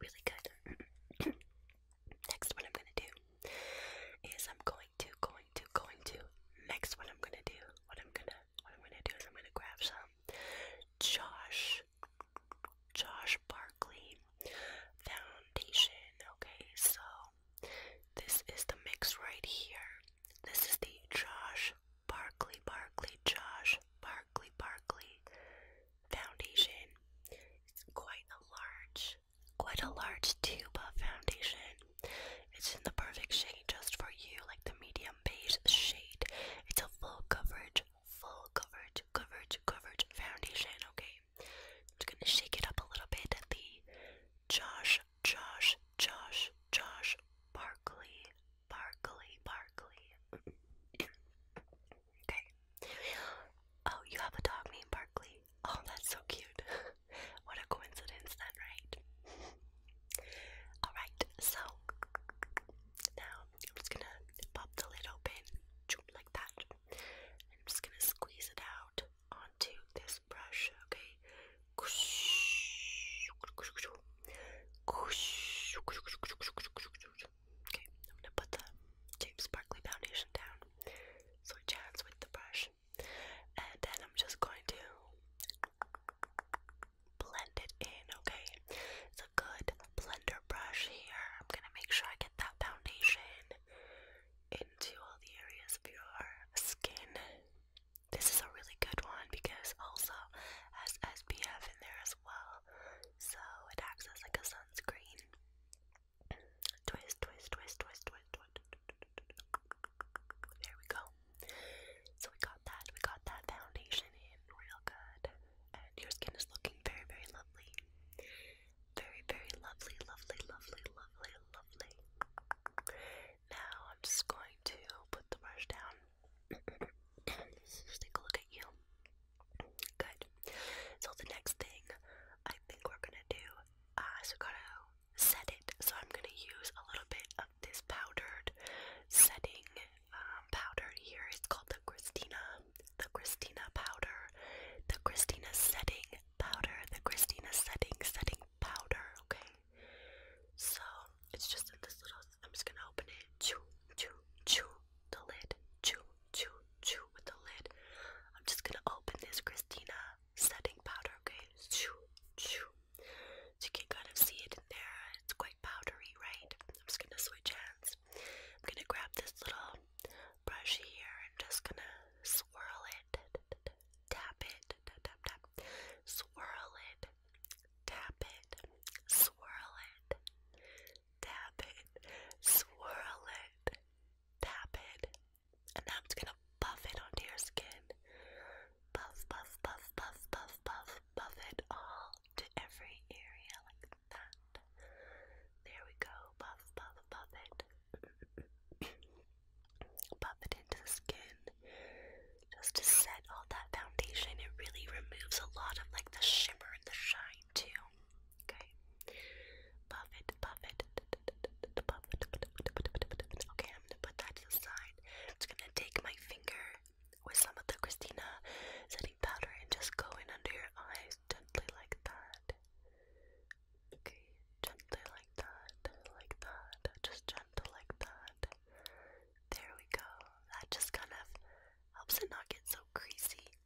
Really good. Next, what I'm gonna do is I'm going to, going to, going to. Next, what I'm gonna do, what I'm gonna, what I'm gonna do is I'm gonna grab some Josh, Josh Barkley Foundation. Okay, so this is the mix right here. This is the Josh Barkley, Barkley, Josh Barkley, Barkley foundation. It's quite a large, quite a large tube of foundation. It's in the perfect shade just for you, like the medium beige shade. It's a full coverage, full coverage, coverage, coverage foundation, okay? I'm just gonna shake it up a little bit at the Josh, Josh, Josh, Josh Barkley, Barkley, Barkley. Okay. Oh, you have a dog named Barkley. Oh, that's so cute. what a coincidence, then, right? Alright, so now I'm just gonna pop the lid open like that. I'm just gonna squeeze it out onto this brush, okay? Okay, I'm gonna put the James Sparkly foundation down so it jams with the brush. And then I'm just going to blend it in, okay? It's a good blender brush here. I'm gonna make sure I get that foundation into all the areas of your skin. This is a really good one because also has SPF in there as well, so it acts as like a sunscreen. Twist, twist, twist, twist, twist, twist. we go. So we got that. We got that foundation in real good. And your skin is looking very, very lovely. Very, very lovely, lovely, lovely, lovely, lovely. Now I'm just going to put the brush down. Let's take a look at you. Good. So the next thing I think we're gonna do, uh, so gotta set it. So I'm gonna use a little bit of this powdered setting um, powder here. It's called the Christina, the Christina powder, the Christina setting powder, the Christina setting setting powder. Okay. So it's just in this little. I'm just gonna open it. Choo choo choo the lid. Choo choo, choo with the lid. I'm just gonna open this Christina setting powder, okay? Choo, choo. So you can kind of see it in there. It's quite powdery, right? I'm just gonna switch hands. I'm gonna grab this little brush here and just gonna swirl it, tap it, tap, tap, swirl it, tap it, swirl it, tap it, swirl it, tap it, and now I'm just gonna buff it onto your skin. Buff, buff, buff, buff, buff, buff, buff it all to every area like that. There we go. Buff, buff, buff it. buff it into the skin. Just to set all that foundation, it really removes a lot of like the shimmer and the shine Two, okay, buff it, buff it, okay, I'm gonna put that to the side. just gonna take my finger with some of the Christina setting powder and just go in under your eyes gently like that. Okay, gently like that, like that, just gentle like that. There we go. That just kind of helps it not get so greasy.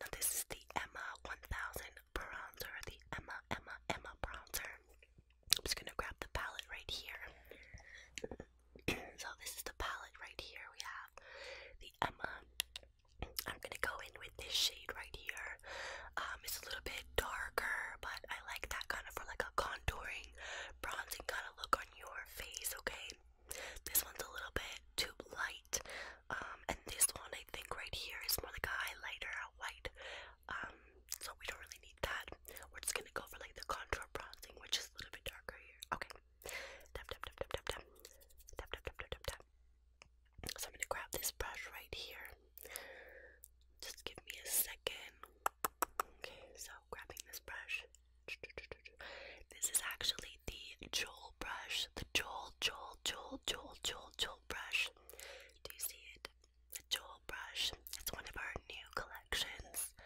Now this is the Emma 1000 bronzer, the Emma, Emma, Emma bronzer. I'm just gonna grab the palette right here. so this is the palette right here. We have the Emma. I'm gonna go in with this shade right here. Um, it's a little bit darker, but I like that kind of for like a contouring, bronzing kind of look on your face. Okay, this one's a little bit too light. Um, and this one I think right here is more like a highlighter, a white. Um, so we don't really need that. We're just gonna go for like the contour bronzing, which is a little bit darker here. Okay. Tap tap tap tap tap tap. Tap tap tap tap tap tap. So I'm gonna grab this brush right here. Just give me a second. Okay, so grabbing this brush. This is actually the Joel brush the Joel, Joel, Joel, Joel, Joel, Joel brush. Do you see it? The Joel brush. It's one of our new collections.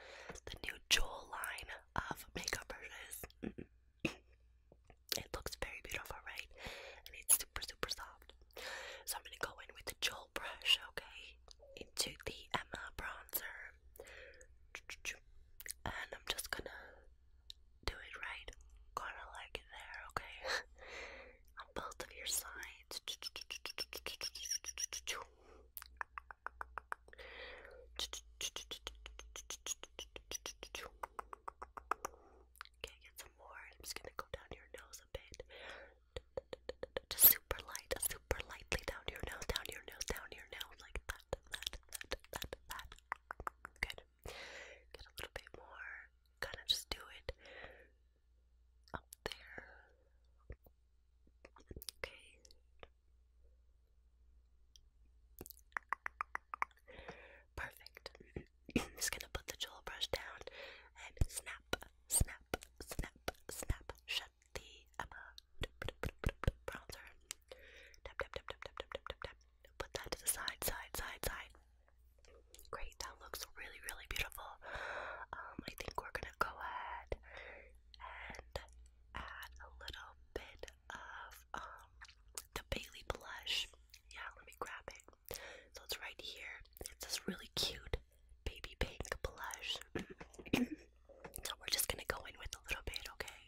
The new Joel line of makeup brushes. it looks very beautiful, right? And it's super, super soft. So I'm gonna go in with the Joel brush, okay? Into the Emma bronzer. And I'm just gonna do it right. Gotta like it there, okay? On both of your sides. Okay, get some more. I'm just gonna go down your nose a bit. Just super light, super lightly down your nose, down your nose, down your nose, like that, that, that, that, that. Good. Get a little bit more, kind of just do it up there. Okay. Perfect. I'm just gonna put the jewel brush down and snap, snap, snap, snap. Shut the Emma um, uh, tap, tap, tap, tap, tap, tap, tap, tap put that to the side, side, side, side. Great, that looks really, really beautiful. Um, I think we're gonna go ahead and add a little bit of um the Bailey blush. Yeah, let me grab it. So it's right here. It's this really cute baby pink blush. so we're just gonna go in with a little bit, okay?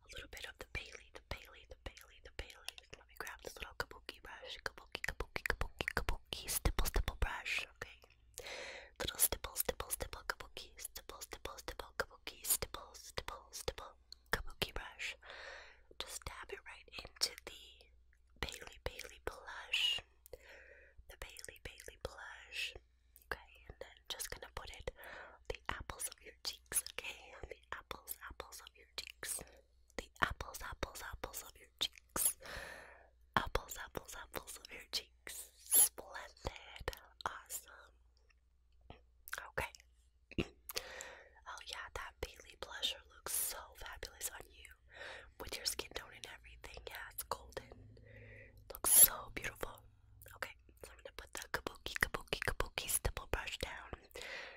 a little bit of the Bailey, the Bailey, the Bailey, the Bailey. Let me grab this little kabuki brush, kabuki, kabuki, kabuki, kabuki, stipple, stipple brush. Okay, little stipple, stipple, stipple, kabuki, stipple, stipple, stipple, kabuki, stipple, stipple, stipple, kabuki brush. Just dab it right into the Bailey, Bailey blush, the Bailey, Bailey blush. Okay, and then just gonna put it on the apples of your cheeks. Okay, on the apples, apples of your your cheeks. The apples, apples, apples of your cheeks. Apples, apples, apples of your cheeks. Splendid. Awesome. Okay. oh, yeah, that Bailey blusher looks so fabulous on you with your skin tone and everything. Yeah, it's golden. Looks so beautiful. Okay, so I'm gonna put the kabuki, kabuki, kabuki stipple brush down.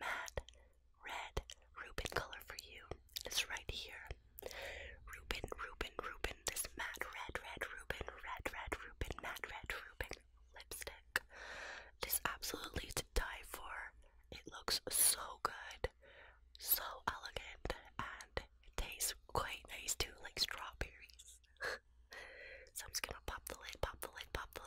matte red Reuben color for you. It's right here. Reuben, Reuben, Reuben. This matte red, red Reuben, red, red Reuben, matte red Reuben lipstick. This absolutely to die for. It looks so good, so elegant, and it tastes quite nice too, like strawberries. so I'm just gonna pop the lid, pop the lid, pop the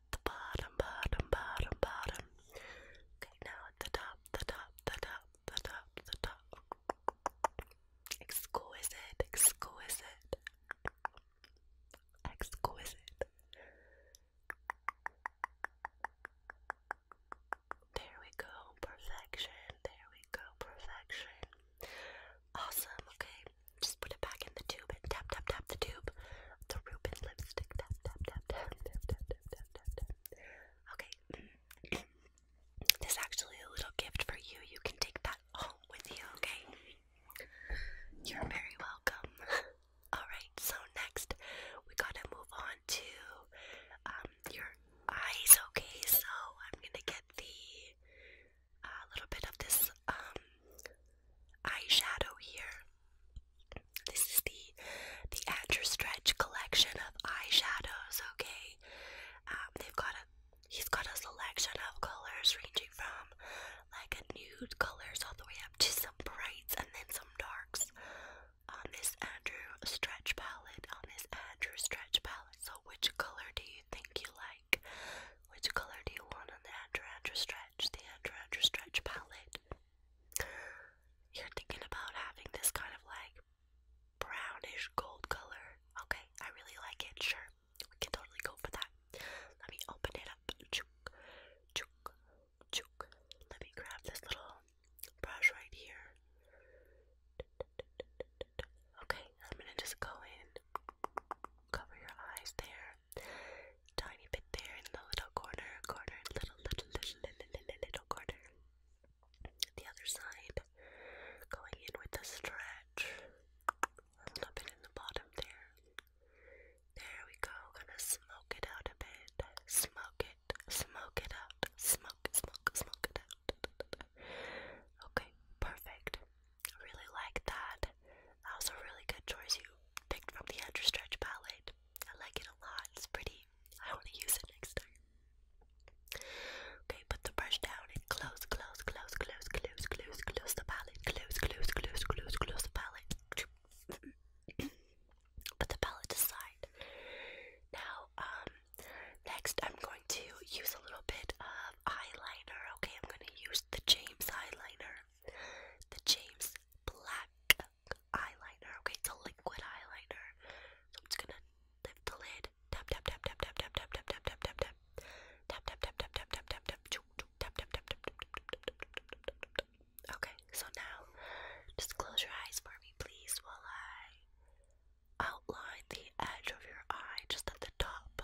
the bottom, bottom, bottom, bottom. Okay, now the top, the top, the top, the top, the top. Exquisite, exquisite, exquisite. There we go, perfection. There we go, perfection. Awesome, okay. Just put it back in the tube and tap, tap, tap the tube. The Reuben lipstick. Tap, tap, tap, actually a little gift for you. You can take that home with you, okay? You're very welcome. Alright, so next we gotta move on to um your eyes, okay? So I'm gonna get the a uh, little bit of this um eyeshadow here. This is the the Andrew Stretch collection of eyeshadows. Okay, um, they've got a he's got a selection of colors ranging from like nude colors all the way up to some brights and then some darks on this Andrew Stretch palette. On this Andrew Stretch palette. So which color do you think you like? Which color do you want on the Andrew Andrew Stretch? The Andrew Andrew Stretch palette. You're thinking about having this kind of like brownish gold color. Okay, I really like it. Sure, we can totally go for that. Let me open it up. Chook, chook, chook. Let me grab this little brush right here. Okay, I'm gonna just go in, cover your eyes there, tiny bit there in the little corner, corner, little, little, little, little, little corner. The other side, going in with a stretch, a little bit in the bottom there. There we go, gonna smoke it out a bit. Smoke it, smoke it out. Smoke, smoke, smoke it out. Okay, perfect. really like that. That was a really good choice. You picked from the Andrew Stretch palette. I like it a lot. It's pretty. I want to use it next time. Okay, put the brush down and close, close, close, close, close, close, close the palette. Close, close, close, close, close the palette. put the palette aside. Now, um, next I'm going to use a little bit of eyeliner. Okay, I'm going to use the James eyeliner, the James Black eyeliner, okay? It's a liquid eyeliner. I'm just gonna lift the lid. Tap tap tap tap tap tap tap tap tap tap tap tap. Tap tap tap tap tap tap tap tap tap tap tap tap tap. Okay, so now just close your eyes for me please while I outline the edge of your eye just at the top.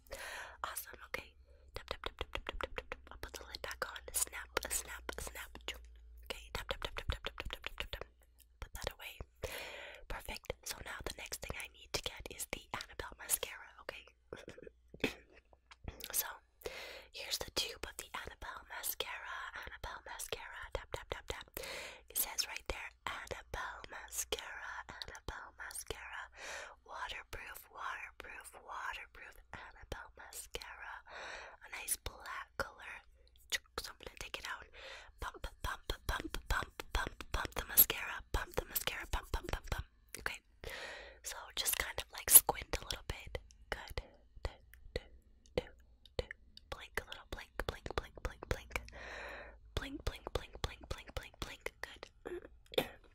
Awesome, okay. Tap tap tap tap tap tap tap tap. I'll put the lid back on. Snap, snap, snap. Okay, tap tap tap tap tap tap tap tap tap Put that away. Perfect. So now the next thing I need to get is the Annabelle mascara, okay? so here's the tube of the Annabelle mascara. Annabelle mascara. Tap tap tap tap. It says right there Annabelle mascara. Annabelle mascara waterproof, waterproof, waterproof Annabelle mascara. A nice black color. So I'm gonna take it out. Pump, pump, pump, pump, pump, pump the mascara. Pump the mascara. Pump, pump, pump, pump. Okay. So just kind of like squint a little bit. Good. Do, do, do, do. Blink a little. Blink, blink, blink, blink, blink. Blink, blink, blink, blink, blink, blink, blink. Good.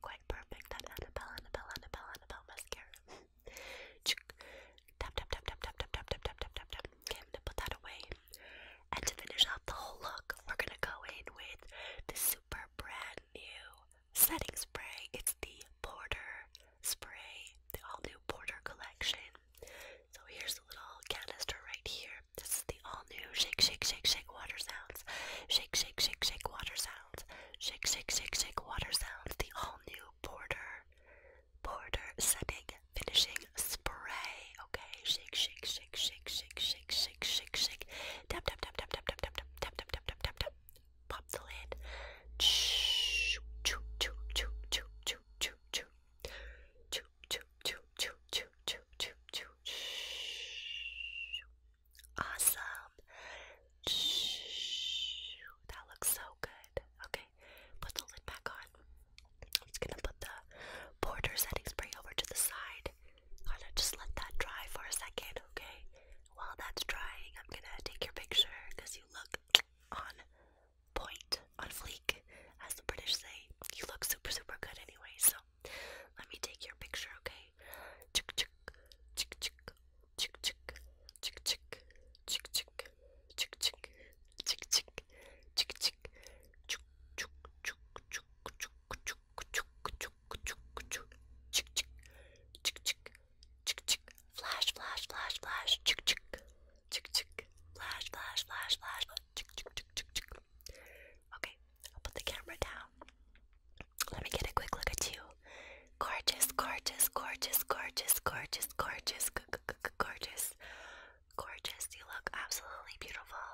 quite, quite perfect at Annabelle, Annabelle, Annabelle, Annabelle mascara. tap, tap, tap, tap, tap, tap, tap, tap, tap, tap, tap, tap. Okay, i to put that away. And to finish off the whole look, we're gonna go in with the super brand new setting spray. It's the Porter spray, the all new Porter collection. So here's the little canister right here. This is the all new shake, shake, shake, shake water sound sounds, shake, shake, shake, shake water sounds, shake, shake, shake, shake water sounds, the all new border, border setting, finishing spray. Okay, shake, shake, shake, shake, shake, shake, shake, shake, shake, tap, tap, tap, tap, tap, tap, tap, tap, tap, tap, tap, tap, tap, pop the lid. Shh, choo, choo, choo, choo, choo, choo, choo. Choo, choo, choo, choo, choo, choo, choo, choo, Awesome. That looks so good. Okay, put the lid back on. I'm just gonna put the border setting spray over to the side. Gotta just let that dry for a second, okay? While that's drying, I'm gonna take your picture because you look on point, on fleek, as the British say. You look super, super good anyway, so let me take your picture, okay? Chick chick chick chick chick chick chick chick chick chick chick chick chick chick chick chick chick flash flash flash flash chick chick chick chick flash flash flash flash chick chick chick chick okay i put the camera down. Let me get a quick look at you. Gorgeous, gorgeous, gorgeous, gorgeous, gorgeous, gorgeous, gorgeous, gorgeous. You look absolutely beautiful.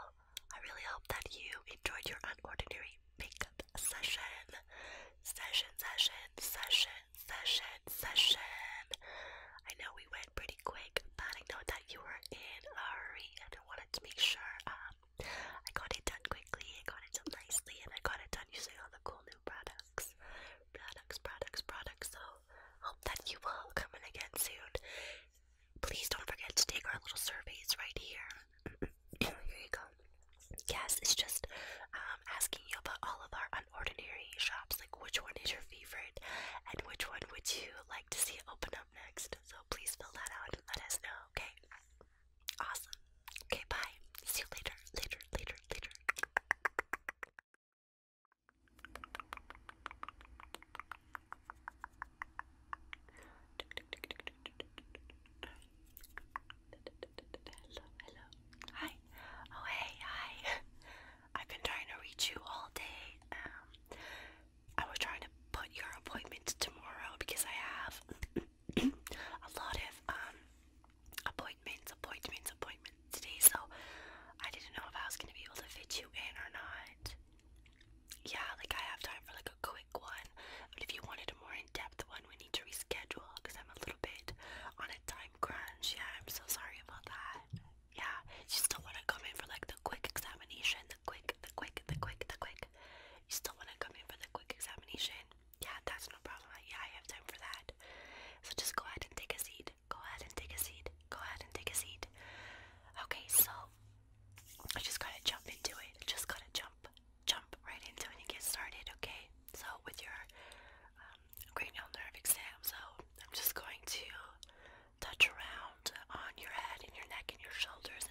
I really hope that you enjoyed your unordinary makeup session. Session, session, session, session, session. I know we went pretty quick, but I know that you were in a hurry and I wanted to make sure um, I got it done quickly, I got it done nicely, and I got it done using all the cool new products. Products, products, products. So, hope that you will come in again soon. Please don't forget to take our little surveys right here. here you go. Yes, it's just um, asking you about all of our unordinary shops, like which one is your favorite and which one would you like to see open up next. So please fill that out and let us know, okay? Awesome. Okay, bye. See you later, later, later, later. Hello, hello. Hi. Oh, hey, hi. I've been trying to reach you all day. Um, I was trying to put your appointment tomorrow because I have a lot of um appointments, appointments, appointments today, so I didn't know if I was gonna be able to fit you in or not. Yeah, like I have time for like a quick one, but if you wanted a more in-depth one, we need to reschedule because I'm a little bit on a time crunch. Yeah, I'm so sorry about that. Yeah, you still want to come in for like the quick examination, the quick, the quick, the quick, the quick. You still want to come in for the quick examination? Yeah, that's no problem. Yeah, I have time for that. So just go ahead and take a seat. Go ahead and take a seat. Go ahead and take a seat. Okay, so I just gotta jump into it. Just gotta jump, jump right into it and get started. Okay, so with your um, cranial nerve exam, so I'm just going to touch around on your head and your neck and your shoulders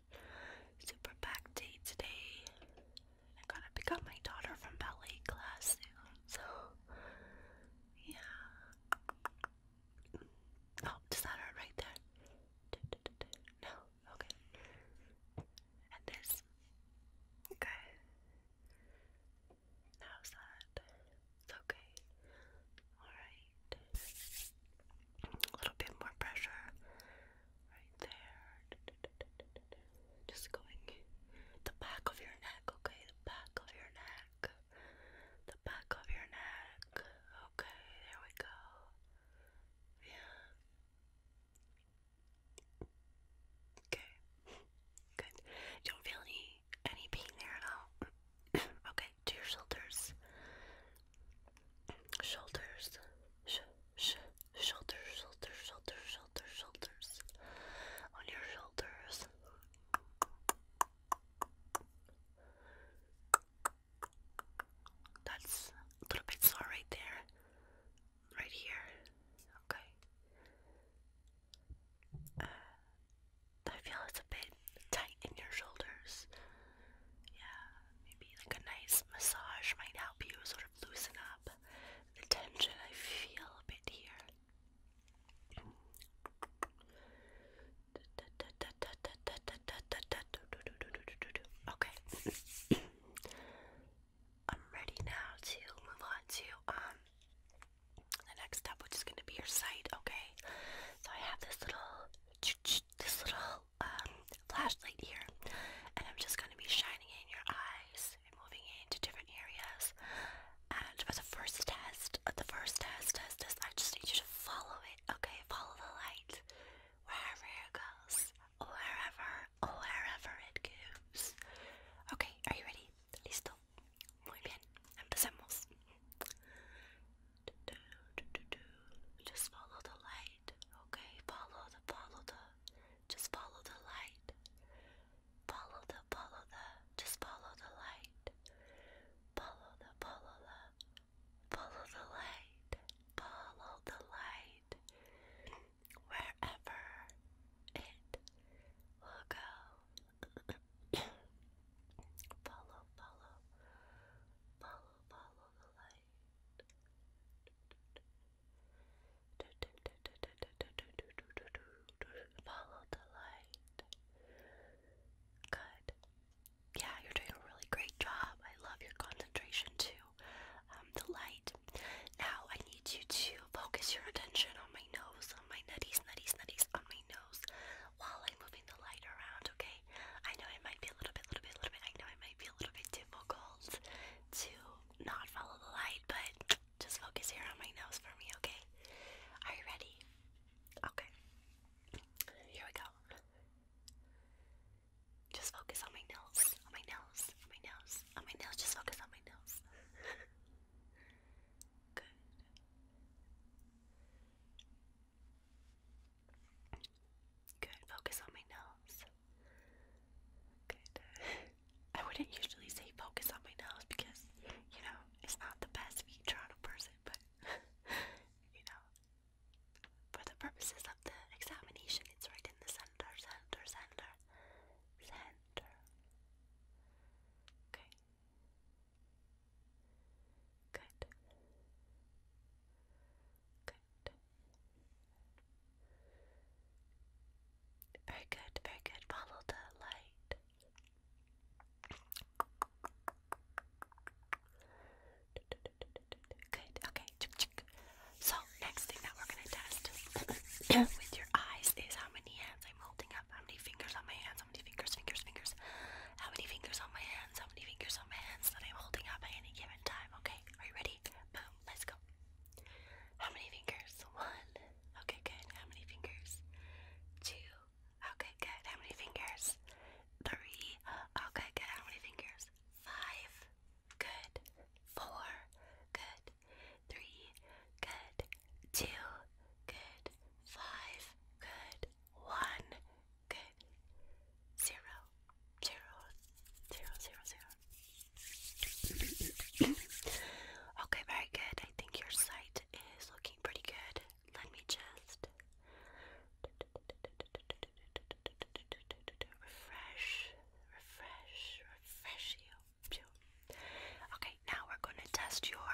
super packed day today. I gotta pick up my daughter from ballet class soon, so yeah. Oh, does that hurt right there? No, okay. And this. Okay. How's that? It's okay. Alright. A little bit more pressure right there. Just going the back of your neck, okay? The back of your neck. The back of your neck. Okay, there we go. Yeah. Okay. Good. You don't feel any any pain there at all. okay, to your shoulders shoulders, sh sh shoulders, shoulders, shoulders, shoulders, shoulders, on your shoulders. That's a little bit sore right there, right here. Okay. Uh, I feel it's a bit tight in your shoulders. Yeah, maybe like a nice massage might help you sort of loosen up the tension I feel a bit here. Okay. I'm ready now to move on to um the next step which is gonna be your sight, okay? So I have this little this little um, flashlight here, and I'm just going to be shining it in your eyes and moving it into different areas. And for the first test, uh, the first test test test. I just need you to follow it, okay? Follow the light wherever it goes, wherever, wherever it goes. Okay, are you ready? Listo. Muy bien. Empecemos. Just follow the light. Okay, follow the follow the just follow the light. Follow the follow the just follow the light. Follow the follow the follow the light. Follow the light wherever it will go. follow, follow, follow, follow the light. Follow the light. Good. Yeah, you're doing a really great job. I love your concentration too. Um, the light. Now I need you to focus your attention on my nose, on my nutties, nutties, nutties, on my nose while I'm moving the light around, okay? I know it might be a little bit, little bit, little bit, I know it might be a little bit difficult to not follow the light, but just focus here on my nose for me, okay? Are you ready? Okay. Here we go. Just focus on my nose, on my nose, on my nose, on my nose. Just focus on my nose. Good. Good. Focus on my nose. Good. I wouldn't usually say focus on my nose because, you know, it's not the best feature on a person, but, you know, for the purposes of the examination, it's right in the center, center, center, center. Okay. Good. Very good, very good. Follow the light. Good, okay. So, next thing that we're going to test with your eyes is how many hands I'm holding up, how many fingers on my hands, how many fingers, fingers, fingers, how many fingers on my hands, how many fingers on my hands that I'm holding up at any given time, okay? Are you ready? let's go. How many fingers? One. Okay, good. How many fingers? Two. Okay, good. How many fingers? Three. Okay, good. How many fingers? Five. Good. Four. Good. Three. Good. Two. Good. Five. Good. One. Good zero, zero, zero, zero, zero. okay, very good. I think your sight is looking pretty good. Let me just refresh, refresh, refresh you. Okay, now we're going to test your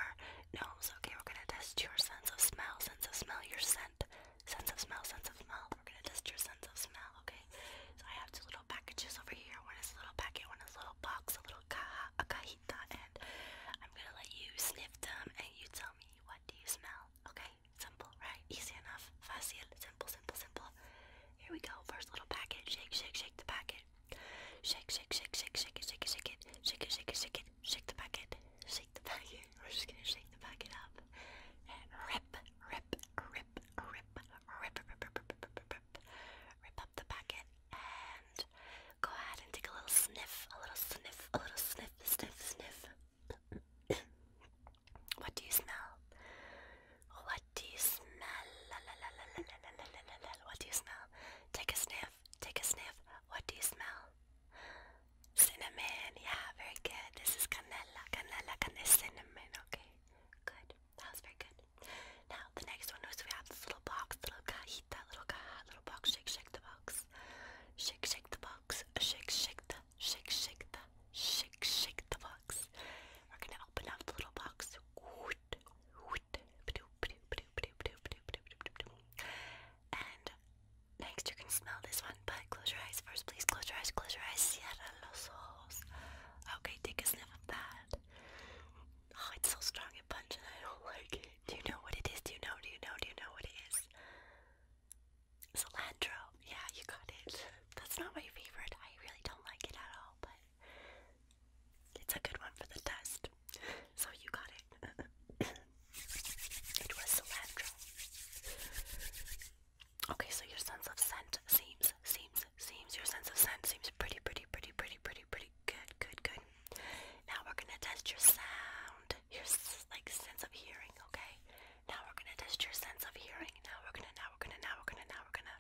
nose. Okay, we're going to test your sense of smell, sense of smell, your scent, sense of smell, sense of smell. We're gonna test your sense of smell, okay? So I have two little packages over here. One is a little packet, one is a little box, a little caja, a cajita, and I'm gonna let you sniff them and you tell me what do you smell, okay? Simple, right? Easy enough. Facile. Simple, simple, simple. Here we go. First little packet. Shake, shake, shake the packet. Shake, shake, shake, shake, shake it, shake it, shake it. Shake it, shake it, shake it. Shake the packet. Shake the packet. We're just gonna shake the packet up. And rip, rip, rip, rip, rip, rip, rip, rip, rip, up the packet and go ahead and take a little sniff, a little sniff, a little sniff, sniff, sniff. what do you smell? What do you smell? La, la, la, la, la, la, la, la, la. What do you smell? Take a sniff, take a sniff. What do you smell? Cinnamon, yeah, very good. This is canela, canela, canela, cinnamon, okay. Good. That was very good. Now the next one is we have this little box, little cajita, little caja, little box, shake, shake the box. Shake, shake the box. Shake, shake the, shake, shake the, shake, shake the box. We're gonna open up the little box. And next you can smell this one, but close your eyes first, please. Close your eyes, close your eyes. Cierra los ojos. Okay, take a sniff of that. Oh, it's so strong and pungent. I don't like it. Do you know what it is? Do you know? Do you know? Do you know what it is? Cilantro. Yeah, you got it. That's not my favorite. I really don't like it at all, but it's a good one for the test. So you got it. it was cilantro. Okay, so your sense of scent seems, seems, seems, your sense of scent seems pretty, pretty, pretty, pretty, pretty, pretty good, good, good. Now we're gonna test your sound, your like sense of hearing. Okay. Now we're gonna test your sense of hearing. Now we're gonna, now we're gonna, now we're gonna, now we're gonna,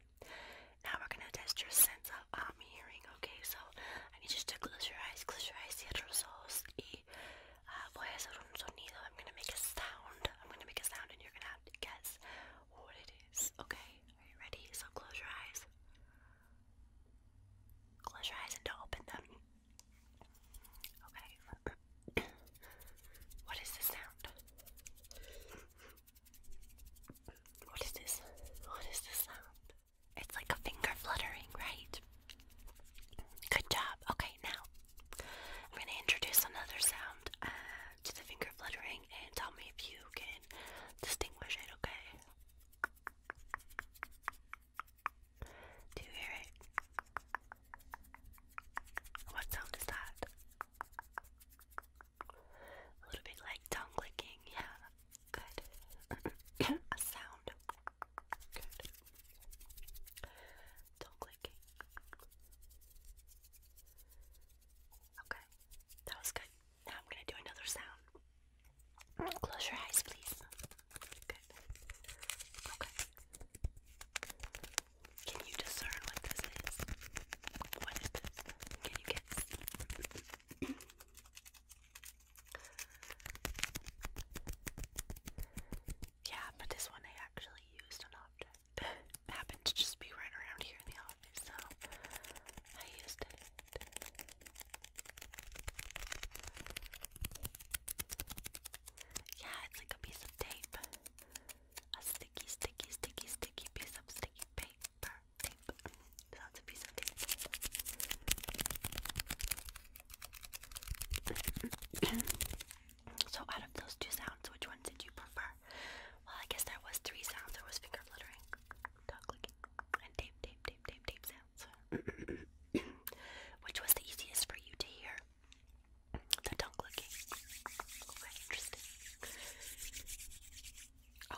now we're gonna test your sense of um hearing. Okay, so I need you to close your eyes, close your eyes, cierra los ojos, y uh, voy a hacer un sonido. I'm gonna make a sound. I'm gonna make a sound, and you're gonna have to guess what it is. Okay, are you ready? So close your eyes. Close your eyes and don't open them. Okay. what is this sound? What is this? What is this sound? It's like a finger fluttering, right? Good job. Okay, now I'm going to introduce another sound. Uh, to the finger fluttering and tell me if you can distinguish it, okay? Do you hear it? What sound is that? A little bit like tongue clicking, yeah. Good. A sound. Good. Tongue clicking. Okay, that was good. Now I'm gonna do another sound. Close your eyes, please. Good. Okay. Can you discern what this is? What is this? Can you guess? yeah, but this one I actually used an object happened to just be right around here in the office, so I used it. Yeah, it's like a piece of tape. A sticky, sticky, sticky, sticky piece of sticky paper. Tape. That's a piece of tape. So out of those two sounds, which one did you prefer? Well, I guess there was three sounds. There was finger fluttering, dog clicking, and tape, tape, tape, tape, tape sounds. which was the easiest for you to hear? The tongue clicking. Okay, interesting.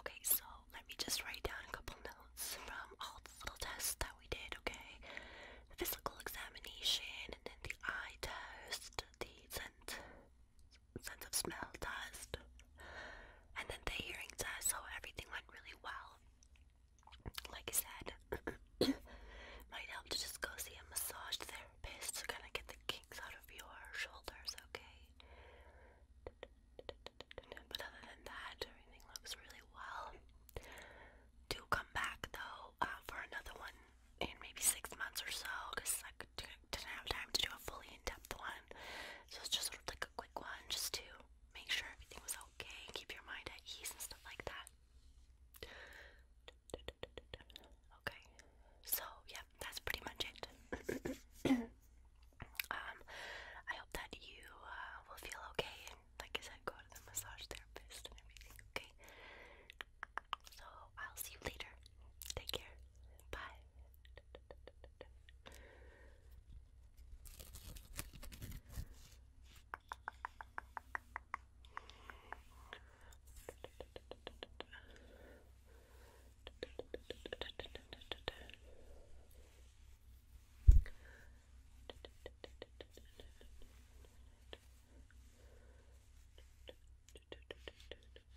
Okay, so let me just write down a couple notes from all the little tests that we did, okay? physical examination, and then the eye test, the scent sense of smell test, and then the hearing test. So everything went really well. Like I said, might help to just go see a massage therapist to kind of get the kinks out of your shoulders. Okay. But other than that, everything looks really well. Do come back though uh, for another one and maybe six months or so because I didn't have time to do a fully in-depth one. So it's just sort of like a quick one just to make sure everything was okay and keep your mind at ease and stuff like that. Okay, so yeah, that's pretty much it. um, I hope that you uh, will feel okay and, like I said, go to the massage therapist and everything. Okay, so I'll see you later. Take care. Bye.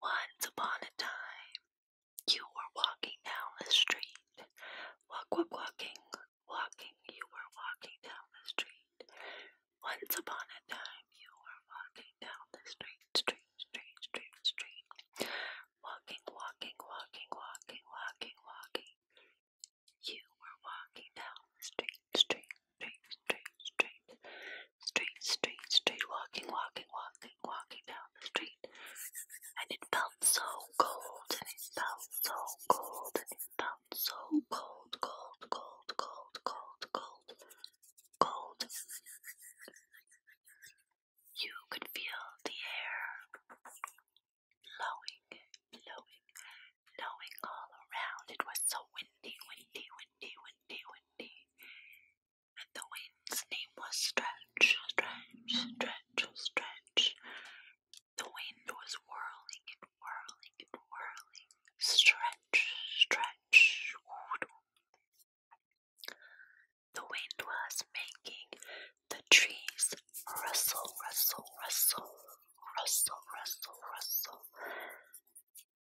Once upon a time, you were walking down the street. Walk, walk, walking, walking, you were walking down the street. Once upon a time, you were walking down the street, street, street, street, street. Walking, walking, walking, walking, walking, walking. You were walking down the street, street, street, street, street, street, street, street, walking, walking, walking, walking down the street. And it felt felt so cold and it felt so cold and it felt so cold, cold, cold, cold, cold, cold, cold. You could feel the air blowing, blowing, blowing all around. It was so windy, windy, windy, windy, windy. And the wind's name was Stretch, Stretch, Stretch, Stretch. The wind was whirling and whirling and whirling. Stretch, stretch, The wind was making the trees rustle, rustle, rustle, rustle, rustle, rustle.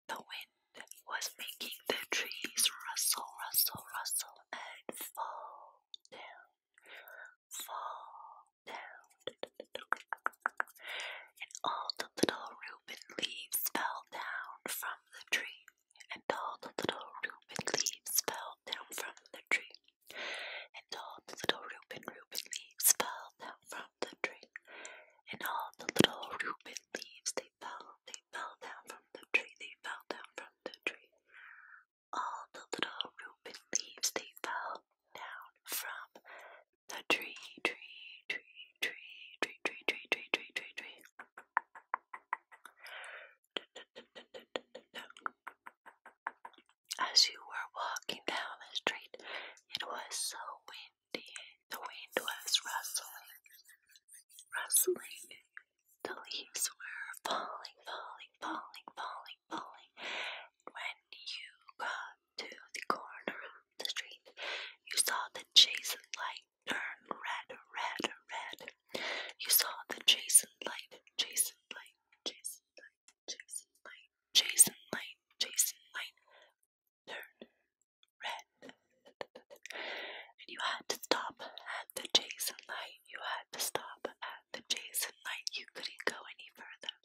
The wind was making the trees rustle, rustle, rustle, and fall down fall down, and all the little Reuben leaves fell down from the tree, and all the little Reuben leaves fell down from the tree, and all the little Reuben Reuben leaves fell down from the tree, and all the little Reuben leaves they fell, they fell down from the tree, they fell down from the tree all the little Reuben leaves they fell down from the tree, tree, tree, tree, tree, tree, tree, tree, tree, tree, tree. As you were walking down the street, it was so windy. The wind was rustling, rustling. The leaves were falling, falling falling, falling, falling. When you got to the corner of the street, you saw the Jason light turn red, red, red. You saw the Jason light, Jason light, Jason light, Jason light, Jason light, Jason light, turn red. And you had to stop at the Jason light you had to stop at the Jason light. You couldn't go any further.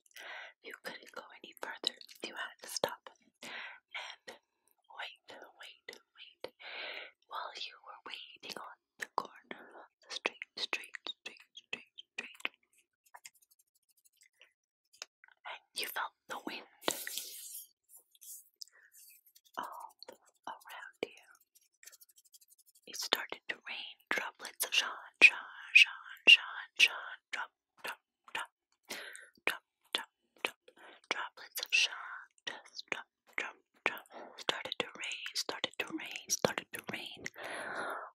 You couldn't go any further. You had to stop and wait, wait, wait. While you were waiting on the corner of the street, street, street, street, street, and you felt the wind all around you. It started to rain droplets of Sean, Sean, Sean, Sean, Sean, drop, drop, drop, drop, drop, drop, droplets of Sean, just drop, drop, drop. Started to rain, started to rain, started to rain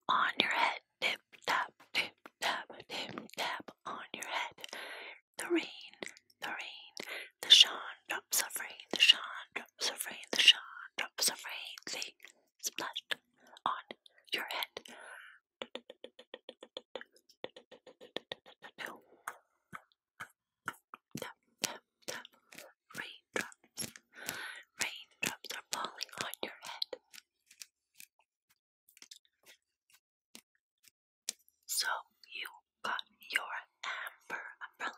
on your head, tip tap, tip tap, tip tap on your head. The rain, the rain, the Sean drops of rain, the Sean drops of rain, the Sean drops of rain. They splashed on your head. Raindrops, raindrops are falling on your head. So you got your amber umbrella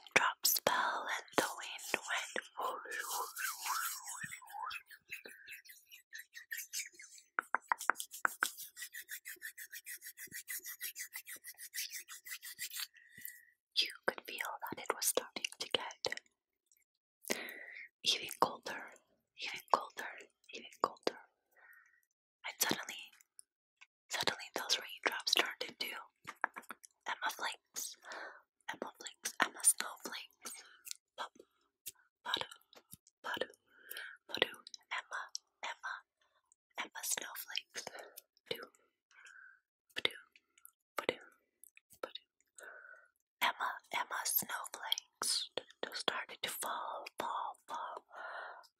raindrops fell and the wind went whoosh, You could feel that it was starting to get even colder, even colder, even colder. And suddenly, suddenly those raindrops turned into Emma flakes. I'm a flings, I'm a snowflakes. Pop, potter, potter, potter, Emma, Emma, Emma snowflakes. Do, do, do, do. Emma, Emma snowflakes. Started to fall, fall, fall.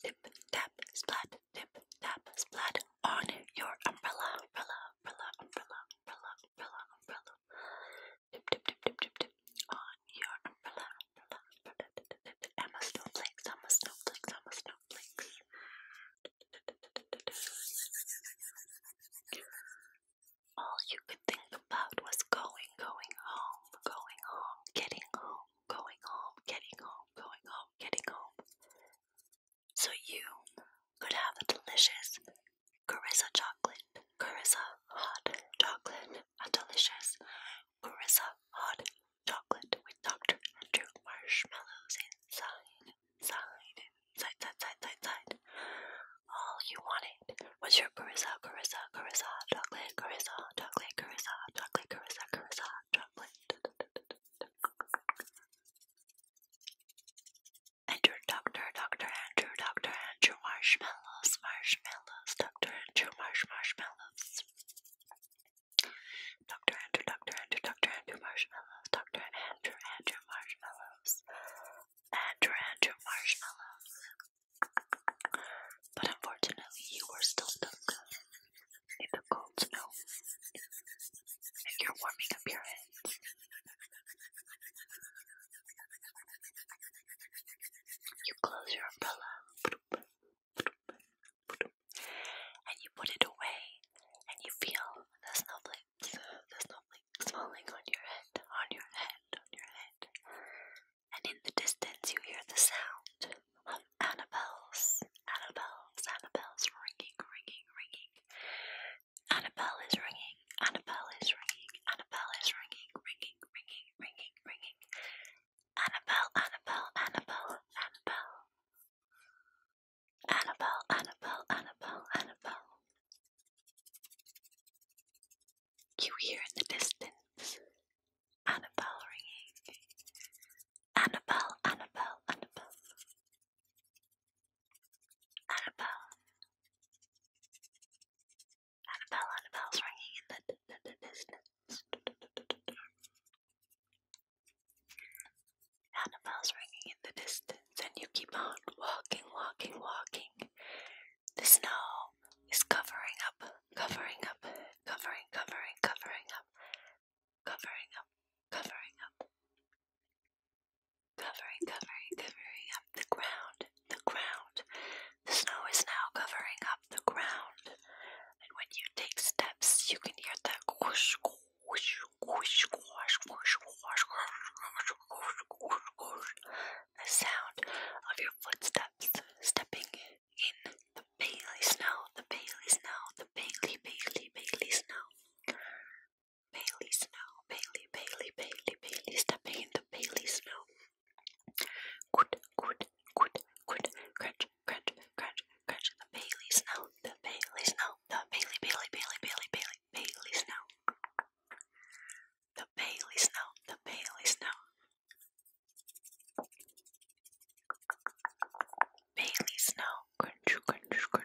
Tip, tap, splat, tip, tap, splat on your umbrella, umbrella, umbrella, umbrella, umbrella, umbrella, umbrella. Dip, dip, dip, dip, dip, dip. On your umbrella, umbrella, umbrella. I'm a snowflake, I'm a snowflake, All you could think about was going, going home, going home, getting home, going home, getting home, going home, getting home so you could have a delicious Carissa chocolate, Carissa hot chocolate, a delicious Carissa hot chocolate with Dr. Andrew marshmallows inside, inside, inside, inside, side, side, All you wanted was your Carissa, Carissa, Carissa chocolate, Carissa chocolate, Carissa chocolate, Carissa, Carissa chocolate. Andrew, Doctor, Doctor Andrew, Doctor Andrew Marshmallows, Marshmallows, Doctor Andrew Marsh Marshmallows. Doctor Andrew, Doctor Andrew, Doctor Andrew Marshmallows, Doctor Andrew Andrew Marshmallows, Andrew Andrew Marshmallows. But unfortunately, you are still stuck in the cold snow, and you're warming up your hands. You close your umbrella and you put it away and you feel the snowflakes, the snowflakes falling on your head, on your head, on your head. And in the distance you hear the sound of Annabelle's, Annabelle's, Annabelle's ringing, ringing, ringing. Annabelle is ringing. Annabelle is ringing. Annabelle is ringing. Ringing, ringing, ringing, ringing. Annabelle, Annabelle, Annabelle, Annabelle. Annabelle, Annabelle, Annabelle, Annabelle. You hear in the distance Annabelle ringing. Annabelle, Annabelle, Annabelle. Annabelle. Annabelle, Annabelle's ringing in the, the, the distance. Annabelle's ringing in the distance, and you keep on walking, walking, walking. The snow is covering up, covering up, covering, covering, covering up, covering up, covering up. Covering, covering, covering up the ground, the ground. The snow is now covering up the ground. And when you take steps, you can hear that whoosh, whoosh, whoosh, whoosh, whoosh, whoosh, whoosh, whoosh, whoosh, whoosh. The sound of your footsteps stepping in the bailey snow, the bailey snow, the bailey, bailey, bailey snow. Bailey Snow, Bailey, Bailey, Bailey, Bailey's the pain, the Bailey Snow. Good, good, good, good, crunch, crunch, crunch, crunch, the Bailey Snow, the Bailey Snow, the Bailey, Bailey, Bailey, Bailey, Bailey, Bailey Snow. The Bailey Snow, the Bailey Snow. Bailey Snow, crunch, crunch, crunch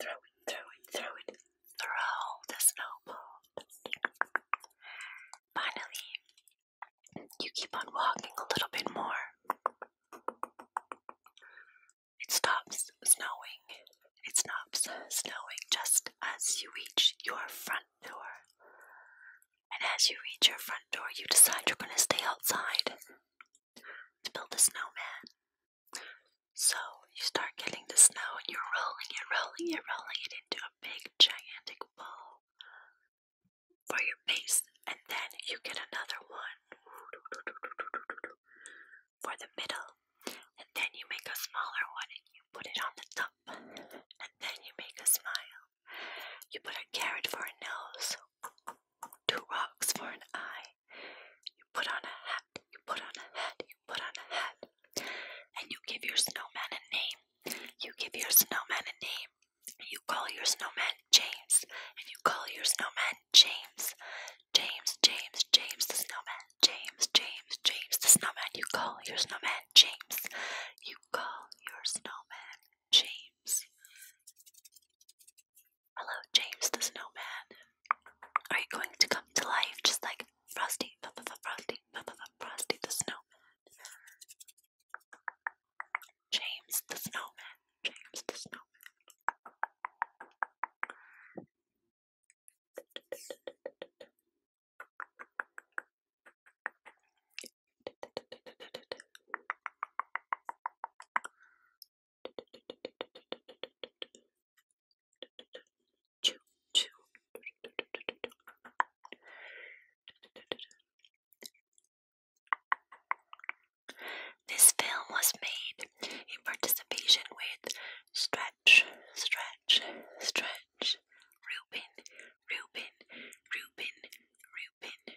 throw it, throw it, throw it, throw the snowballs. Finally, you keep on walking a little bit more. It stops snowing. It stops snowing just as you reach your front door. And as you reach your front door, you decide you're going to stay outside to build a snowman. So you start getting the snow and you're rolling it, rolling it, rolling it into a big gigantic ball for your base, and then you get another one for the middle, and then you make a smaller one and you put it on the top, and then you make a smile. You put a carrot for a nose, two rocks for an eye, you put on a hat, you put on a hat, you put on a hat. And you give your snowman a name. You give your snowman a name. You call your snowman James. And you call your snowman James. James, James, James the snowman. James, James, James the snowman. You call your snowman James. You call your snowman James. Hello, James the Snowman. Are you going to come to life just like Frosty, Frosty, Frosty the Snowman? James the Snowman, James the Snowman. This film was made in participation with Stretch, Stretch, Stretch, Rubin, Rubin, Rubin, Rubin, Rubin,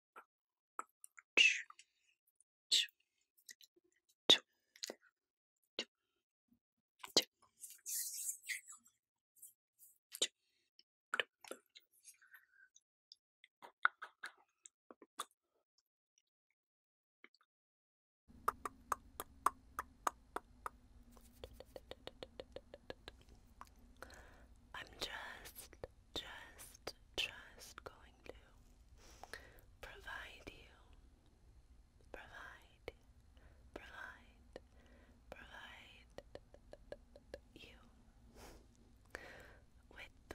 I'm just just, just going to provide you, provide, provide, provide you with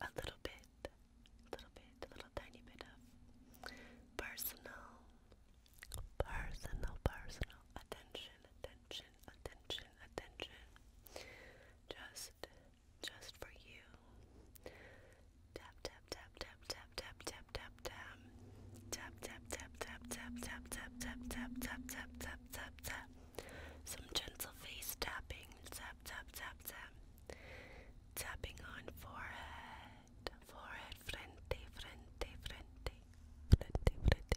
a little bit, little bit, little tiny bit of personal, personal, personal attention, attention, attention, attention. Just just for you. Tap tap tap tap tap tap tap tap tap. Tap tap tap tap tap tap tap tap tap tap tap tap tap Some gentle face tapping. Tap tap tap tap. Tapping on forehead, forehead, frente, frente, frente, frente, frente,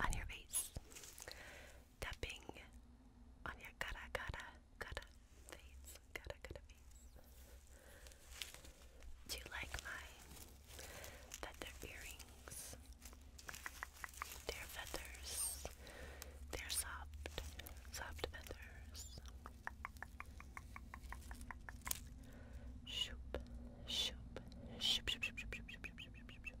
on your face. Tapping on your cara, cara, cara face. Cara, cara face. Do you like mine? That earrings. they feathers. they soft, soft feathers. shoop, shoop, shoop, shoop, shoop, shoop, shoop, shoop, shoop, shoop, shoop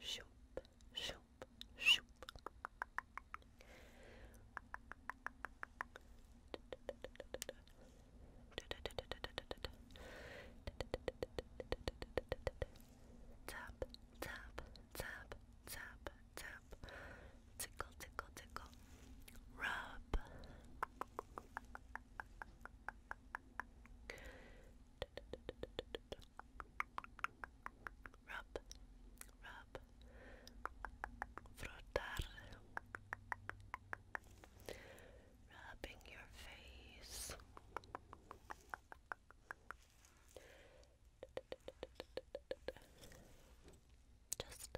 Shoop, shoop, shoop. Tap, tap, tap, tap, tap. Tickle, tickle, tickle. Rub, Rub, rub, frotar. Rubbing your face. Just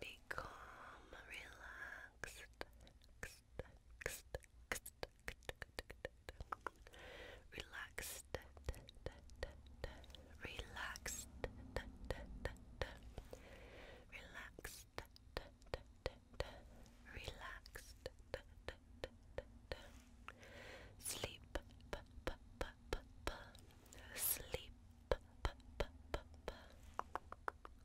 be calm, relax relaxed, relaxed, relaxed, relaxed, sleep, sleep,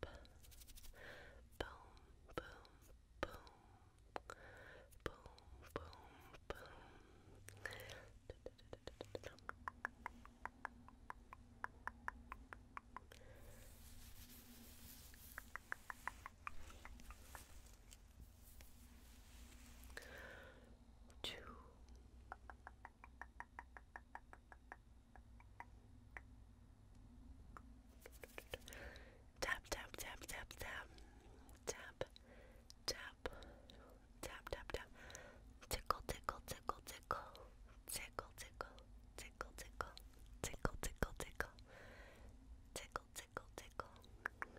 boom, boom, boom, boom, boom, boom. Two. Three. Tap tap tap tap tap tap tap tap tap tap tickle tickle tickle tickle tickle tickle tickle tickle tickle tickle tickle tickle tickle tickle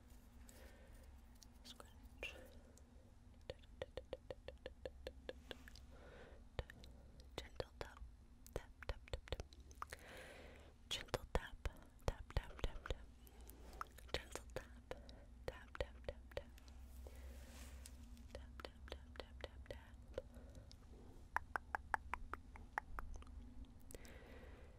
Scratch. Gentle tap, tap, tap, tap, tap. Gentle tap, tap, tap, tap, tap. Gentle tap, tap, tap, tap, tap. Tap, tap, tap, tap, tap, tap.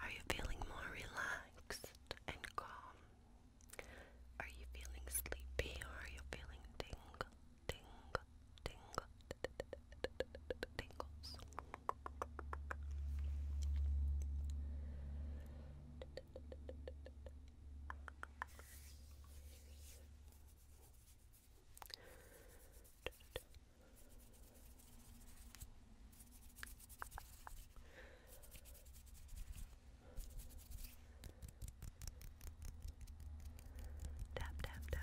Are you feeling more relaxed and calm? Are you feeling sleepy or are you feeling ding, ding, ding? tingles. Tap, tap, tap. Tap,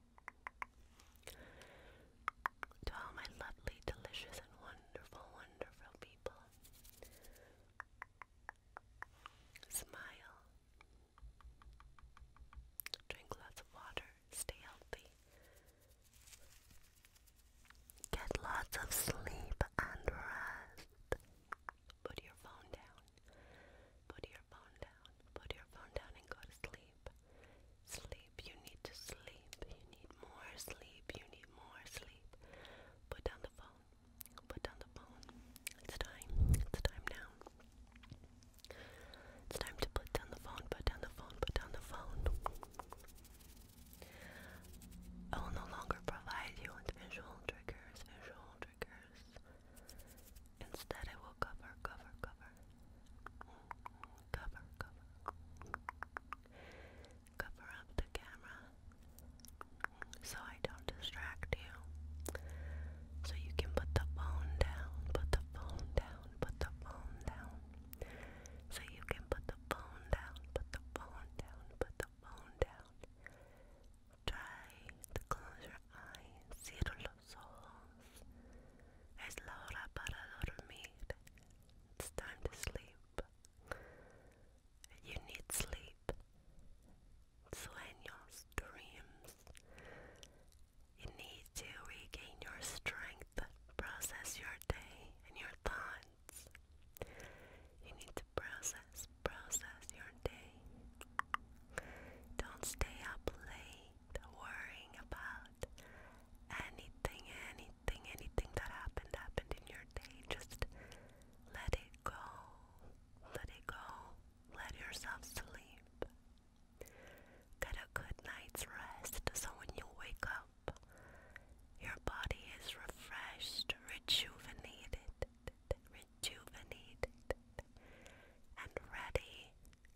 To all my lovely, delicious, and wonderful, wonderful people, smile, drink lots of water, stay healthy, get lots of sleep and rest. Put your phone down, put your phone down, put your phone down, and go to sleep sleep. Sleep, you need to sleep. You need more sleep. You need more sleep. Put down the phone. Put down the phone. It's time. It's time now. It's time to put down the phone. Put down the phone. Put down the phone. I will no longer provide you with visual triggers. Visual triggers. Instead, I will cover, cover, cover, Cover, cover. Cover up the camera so I don't distract you. So you can put the phone down, put the phone down, put the phone down. So you can put the phone down, put the phone down, put the phone down. Try to close your eyes. Cierra los ojos. Es la It's time to sleep. You need sleep. Sueños, dreams. You need to regain your strength, process your day and your thoughts. You need to process, process your day. Don't stay up late worrying about anything, anything, anything that happened, happened in your day. Just let it go. Let it go. Let yourself sleep. Get a good night's rest so when you wake up, your body is refreshed, rejuvenated, rejuvenated, and ready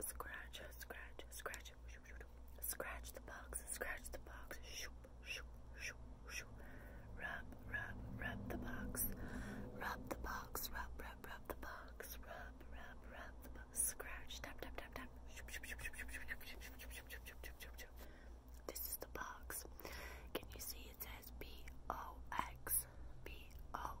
scratch, scratch, scratch, scratch, scratch the box, scratch the box, shoop, shoop, shoop, shoop, rub, rub, rub the box, rub the box, rub, rub, rub the box, rub, rub, rub the box, scratch, tap, tap, tap, tap, shoop, shoop, shoop, shoop, shoop, shoop, shoop, shoop, shoop, shoop. This is the box. Can you see it says B O X B O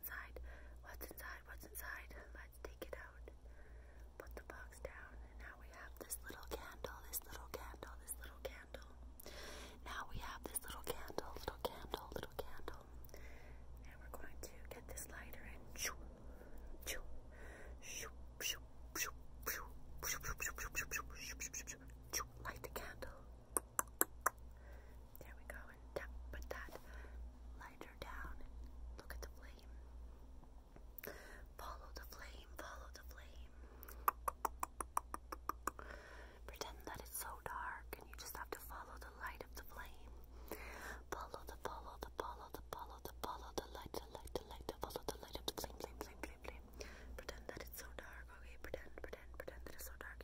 inside? What's inside? What's inside? Let's take it out. Put the box down. And now we have this little candle, this little candle, this little candle. Now we have this little candle, little candle, little candle. And we're going to get this lighter and shoo, shoo, shoo, shoo, shoo, shoo, shoo, shoo, shoo, shoo, shoo, shoo, shoo, shoo, shoo, shoo, light the candle. There we go. And tap, put that lighter down. Look at the flame. Follow the flame. Follow the flame. Pretend that it's so dark and you just have to follow the light of the flame. Follow the follow the follow the follow the follow the light the light the light the follow the light of the flame flame flame flame flame. Pretend that it's so dark. Okay, pretend, pretend, pretend that it's so dark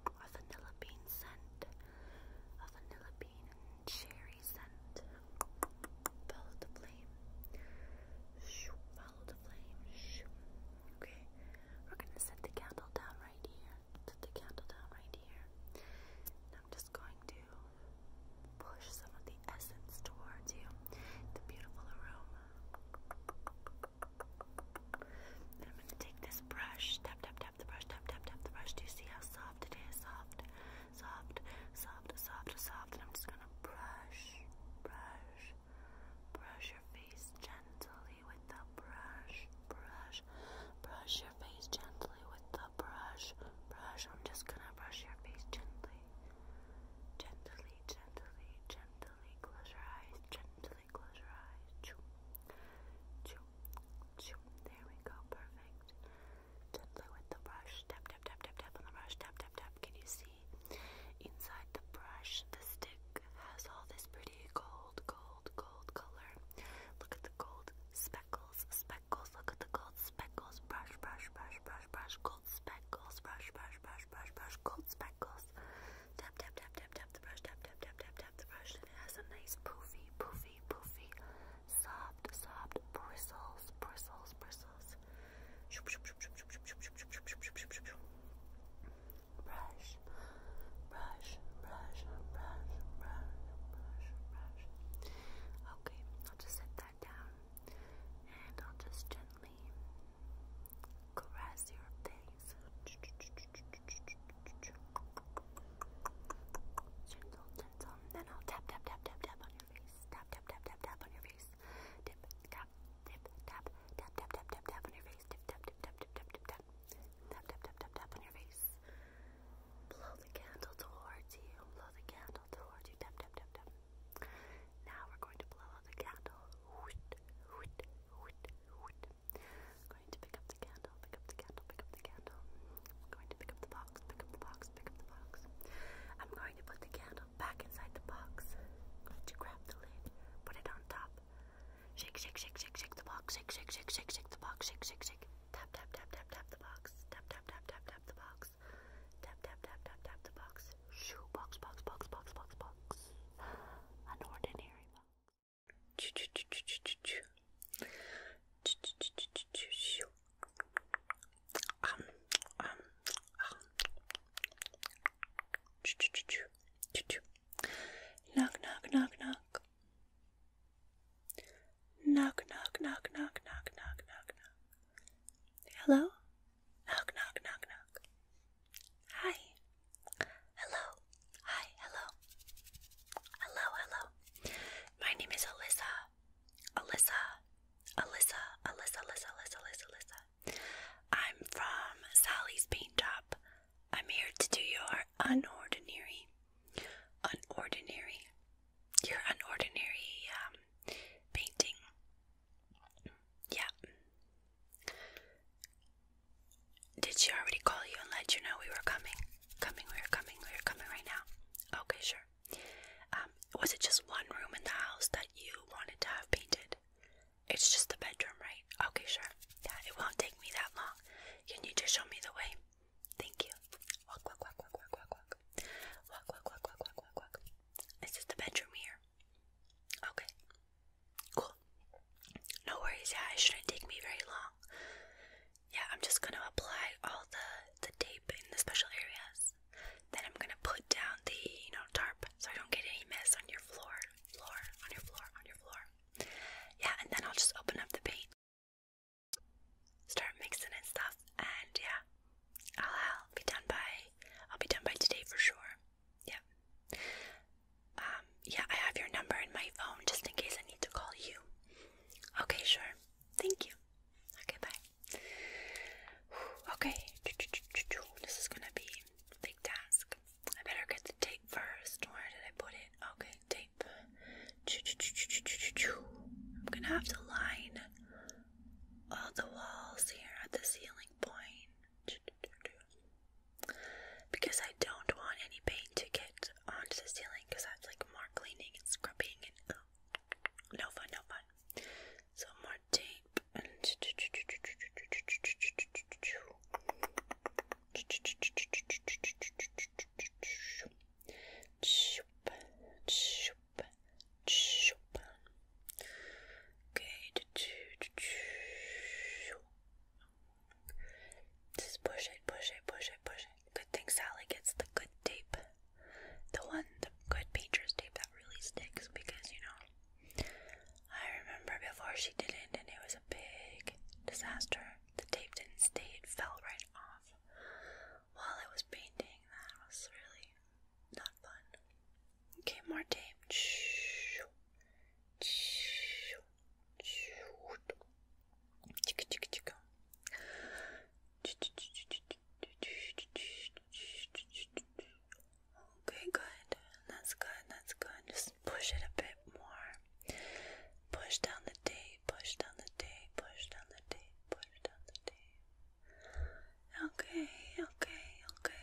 a vanilla bean scent, a vanilla bean and cherry scent. Follow the flame. follow the flame. Okay, we're gonna set the candle down right here. Set the candle down right here. I'm just going to push some of the essence towards you. The beautiful aroma. And I'm gonna take this brush tap, tap, tap the brush, tap, tap, tap the brush. Do you see how soft it is? Soft, soft, soft, soft, soft. And I'm just gonna brush, brush, brush your face gently with the brush, brush, brush your face gently with the brush, brush. I'm just gonna brush your face gently, gently, gently, gently. Close your eyes, gently close your eyes. Choo, choo, there we go, perfect. Tap, tap, tap, tap, tap on the brush. Tap, tap, tap. Can you see? Inside the brush, the stick has all this pretty gold, gold, gold color. Look at the gold speckles, speckles. Look at the gold speckles. Brush, brush, brush, brush, brush. Gold speckles. Brush, brush, brush, brush, brush. Gold speckles. Tap, tap, tap, tap, tap the brush. Tap, tap, tap, tap, depth brush and it has some nice poofy, poofy, poofy, soft, soft bristles, bristles, bristles. Brush, brush, brush, brush, brush, brush, brush. Okay, I'll just set that down and I'll just gently caress your face. Gentle, gentle. then I'll tap, tap, tap, tap, tap on your face. Tap, tap, tap, tap, tap on your face. Dip, tap, dip, tap, tap, tap, tap, tap, on your face. Dip, tap, dip, tap, dip, tap, tap. Tap, tap, tap, tap, tap on your face. Blow the candle towards you. Blow the candle towards you. Tap, tap, tap, tap. Now we're going to blow out the candle. Whoosh, whoosh, whoosh, whoosh. going to pick up the candle, pick up the candle, pick up the candle. I'm going to pick up the box, pick up the box, pick up the box. I'm going to put the candle back inside the box. going to grab the lid, put it on top. Shake, shake, shake, shake, shake the box, shake, shake, shake, shake, shake the box, shake, shake, shake. Tap, tap, tap, tap, tap the box. Tap, tap, tap, tap, tap the box. Tap, tap, tap, tap, tap the box. Shoo, box, box, box, box, box, box. An ordinary box. Um, um, um. Knock, knock, knock, knock. Knock, knock, knock, knock, knock, knock, knock, knock. Hello? Knock, knock, knock, knock. Hi. Hello. Hi, hello. Hello, hello. My name is Alyssa. Alyssa. Alyssa, Alyssa, Alyssa, Alyssa, Alyssa, Alyssa. I'm from Sally's Paint Job. I'm here to do your unordinary, unordinary, your unordinary um, painting. Yeah. Did she already call you and let you know we were coming? Coming, we're coming, we're coming right now. Okay, sure. Um, was it just one room in the house that you wanted to have painted? It's just the bedroom, right? Okay, sure. Yeah, it won't take me that long. Can you just show me the way? Thank you. Walk, walk, walk, walk, walk, walk, walk. Walk, walk, walk, walk, walk, walk, walk. Is the bedroom here? Okay. Cool. No worries, yeah, it shouldn't take me very long yeah, I'm just gonna apply all the the tape in the special areas. Then I'm gonna put down the you know tarp so I don't get any mess on your floor, floor, on your floor, on your floor. Yeah, and then I'll just open up the paint, start mixing and stuff, and yeah, I'll, be done by I'll be done by today for sure. Yeah. Um, yeah, I have your number in my phone just in case I need to call you. Okay, sure. Thank you. Okay, bye. Okay, this is gonna be a big task. I better get the tape first. Where did I put it? Okay, tape. I'm gonna have to line all the walls here at the ceiling point because I don't want any paint to get onto the ceiling because that's like more cleaning and scrubbing and oh, no fun, no fun. So more tape and Okay. Just push it, push it, push it, push it. Good thing Sally gets the good tape. The one, the good painter's tape that really sticks because, you know, I remember before she didn't and it was a big disaster. The tape didn't stay, it fell right off while I was painting. That was really not fun. Okay, more tape. Chica chica chica. Okay, good. That's good. That's good. Just push it a bit more. Push down the tape. Push down the tape. Push down the tape. Push down the tape. Okay. Okay. Okay.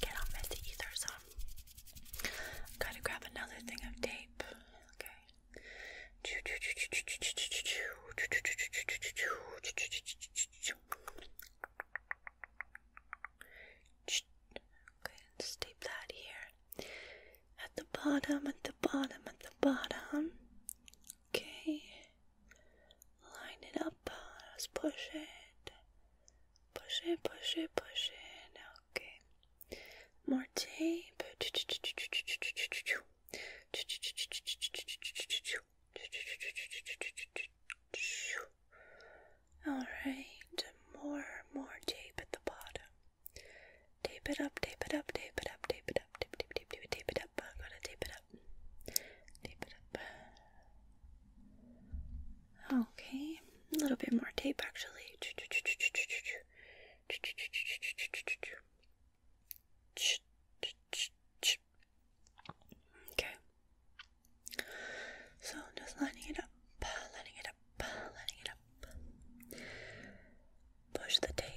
get all messy either, so gotta grab another thing of tape. Okay. Okay, let's tape that here. At the bottom, at the bottom, at the bottom. Okay. Line it up. Let's push it. Push it, push it, push it. Okay. More tape. All right. More, more tape at the bottom. Tape it up, tape it up, tape it up, tape it up, tape, tape, tape, tape, tape it up. I'm gonna tape it up. Tape it up. Okay, a little bit more tape actually. Okay. So just lining it up, lining it up, lining it up. Push the tape.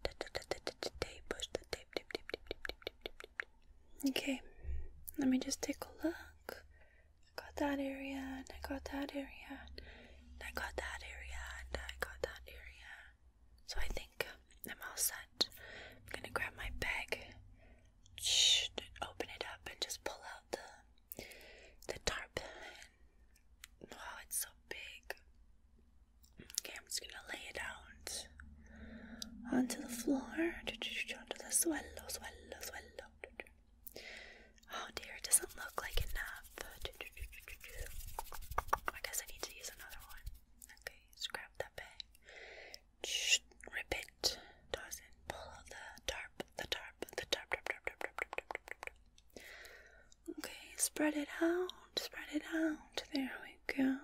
Tape, push the tape, tape, tape, tape, tape, tape, tape, tape. Okay. Let me just take a look. I got that area, and I got that area, and I got that area, and I got that area. So I think I'm all set. I'm gonna grab my bag, open it up, and just pull out the the tarpaulin. Wow, it's so big. Okay, I'm just gonna lay it out onto the floor, onto the suelo, suelo, suelo. Oh dear, it doesn't look like enough. I guess I need to use another one. Okay, scrap that bag. Rip it. Toss it. Pull the tarp, the tarp, the tarp. Okay, spread it out, spread it out. There we go.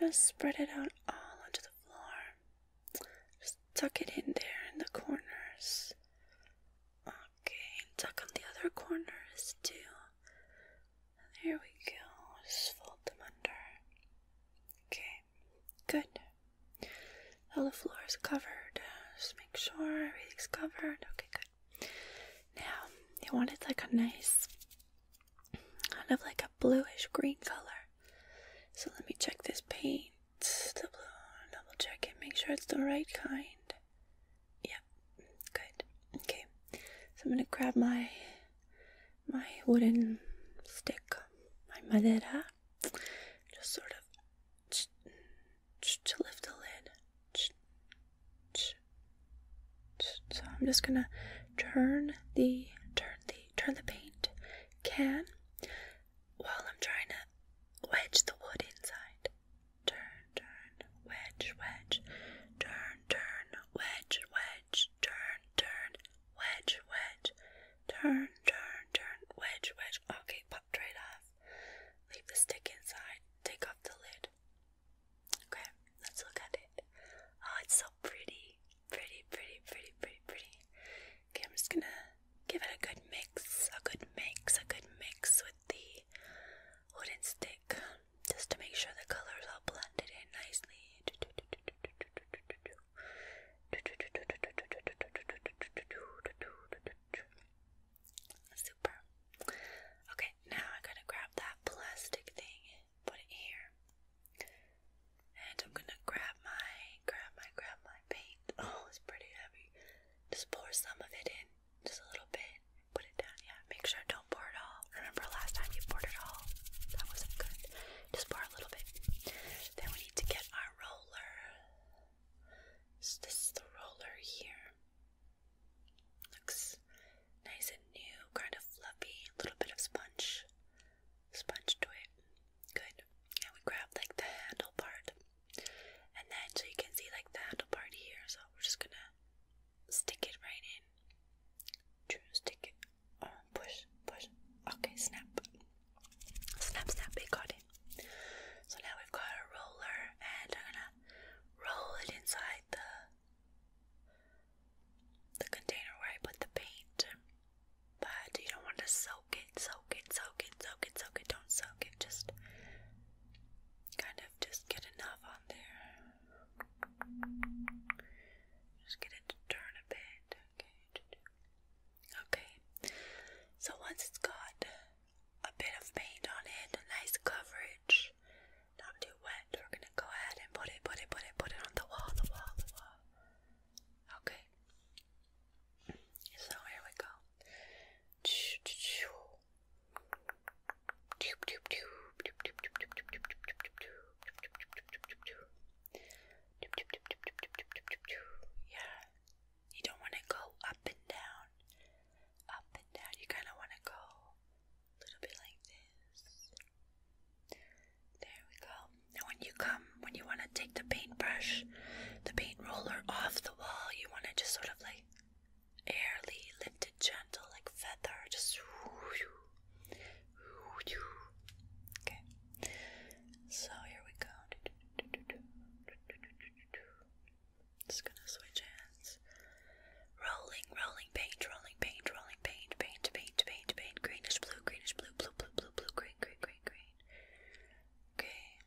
Just spread it out all onto the floor. Just tuck it in there in the corners. Okay, and tuck on the other corners too. There we go. Just fold them under. Okay, good. All the floor is covered. Just make sure everything's covered. Okay, good. Now, you want it like a nice, kind of like a bluish green color. So let me check this paint the Double check it. Make sure it's the right kind. Yeah, good. Okay, so I'm gonna grab my my wooden stick, my madera, just sort of to lift the lid. So I'm just gonna turn the turn the turn the paint can while I'm trying to wedge the wood inside. Turn, turn, wedge, wedge. Turn, turn, wedge, wedge. Turn, turn, wedge, wedge. Turn, turn, turn, wedge, wedge. Okay, popped right off. Leave the stick inside. Take off the lid. Okay, let's look at it. Oh, it's so pretty. Pretty, pretty, pretty, pretty, pretty. Okay, I'm just gonna give it a good mix, a good mix, a good mix with the wooden stick just to make sure the colors all blended in nicely. Super. Okay, now I'm gonna grab that plastic thing, put it here, and I'm gonna grab my, grab my, grab my paint. Oh, it's pretty heavy. Just pour some of it in, just a little bit. Put it down, yeah. Make sure don't pour it all. Remember last time you poured it all? That wasn't good. Just pour a little bit. Then we need to get our roller. this is the roller here. Looks nice and new, kind of fluffy, a little bit of sponge, sponge to it. Good. And we grab like the handle part. And then so you can see like the handle part here. So we're just gonna stick it right in. Stick it. Oh, push, push. Okay, snap. Snap, snap. It got in. So now we've got a roller, and I'm gonna roll it inside the the container where I put the paint but you don't want to soak it, soak it, soak it, soak it, soak it. Don't soak it. Just kind of just get enough on there. Just get it to turn a bit. Okay. Okay. So once it's got a bit of paint on it, nice coverage, not too wet, we're gonna go ahead and put it, put it, put it, put it on the wall, the wall, the wall. Okay. So here we go. Yeah. You don't want to go up and down. Up and down. You kind of want to go a little bit like this. There we go. when you come um, when you want to take the paintbrush, the paint roller off the wall, you want to just sort of like airly lift it gentle like feather, just okay. So here we go. Just gonna switch hands. Rolling, rolling paint, rolling paint, rolling paint, paint, paint, paint, paint, greenish blue, greenish blue, blue, blue, blue, blue, green, green, green, green. Okay.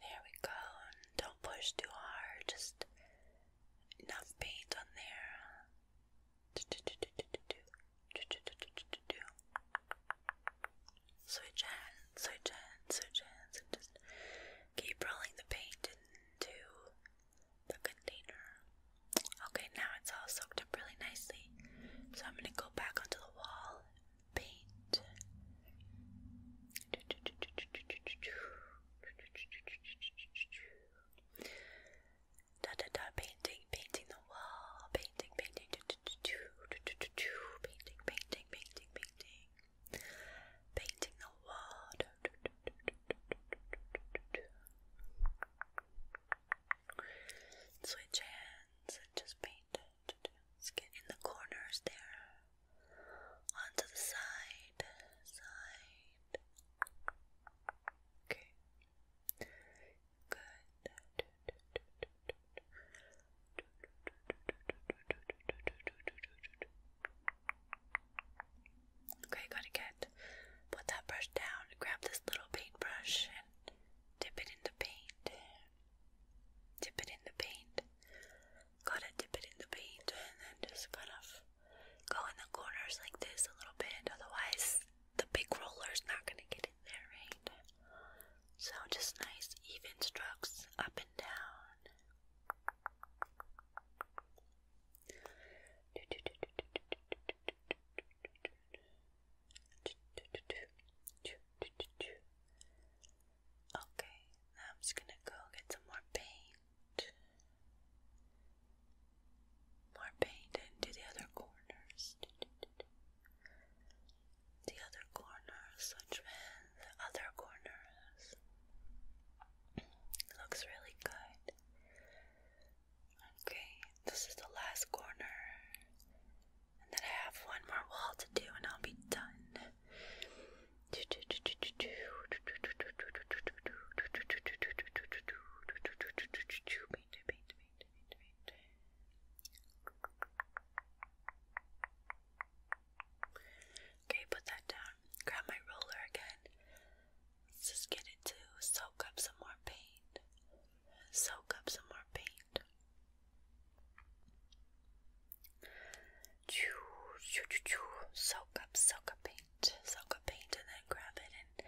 There we go. don't push too hard. Just enough paint on there. Switch hands, switch hands, switch hands, just keep rolling the paint into the container. Okay, now it's all soaked up really nicely. So I'm gonna go back onto the wall Da da da, painting, painting the wall, painting, painting, painting, painting, painting, painting, painting the wall. Switch hands and just paint. Let's get in the corners there. Onto the side, side. Okay. Good. Okay, gotta get put that brush down, grab this little paintbrush and dip it into paint dip it in the paint. Gotta dip it in the paint and then just kind of go in the corners like this a little bit, otherwise, the big roller's not gonna get in there, right? So, just nice, even strokes up and down. Okay, I'm just gonna go get some more paint. More paint into the other corners. The other corners, which means the other corners. It looks really good. Okay, this is the last corner. And then I have one more wall to do, and I'll be done. Okay, put that down. Grab my roller again. Let's just get it to soak up some more paint soak up some more paint. Soak up, soak up paint, soak up paint, and then grab it and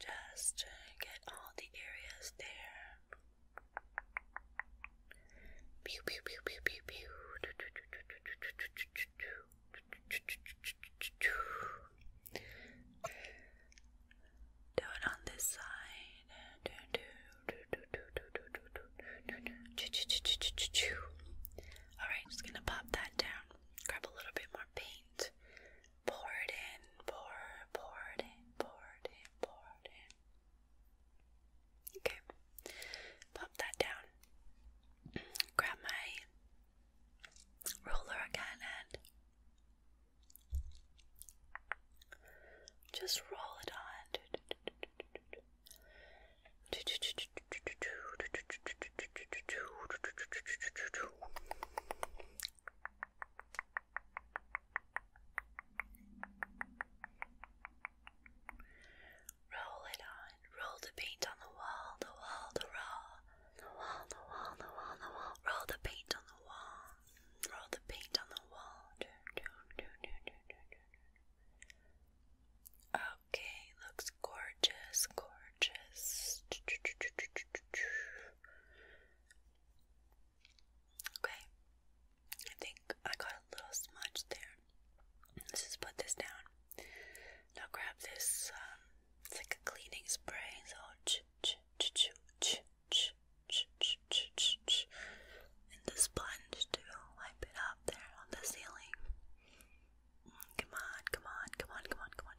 just get all the areas there. Pew pew pew pew pew pew. Do on this side. Alright, just gonna pop that down. Grab a little bit more paint. Pour it in, pour, pour it in, pour it in, pour it in. Okay. Pop that down. Grab my ruler again and just roll it on. Roll it on, roll the paint on the wall, the wall, the raw, the wall, the wall, the wall, the wall, roll the paint on the wall all the paint on the wall. Okay, looks gorgeous, gorgeous. Okay, I think I got a little smudge there. Let's just put this down. Now grab this, um, it's like a cleaning spray, so and the sponge to wipe it up there on the ceiling. Come on, come on, come on, come on, come on.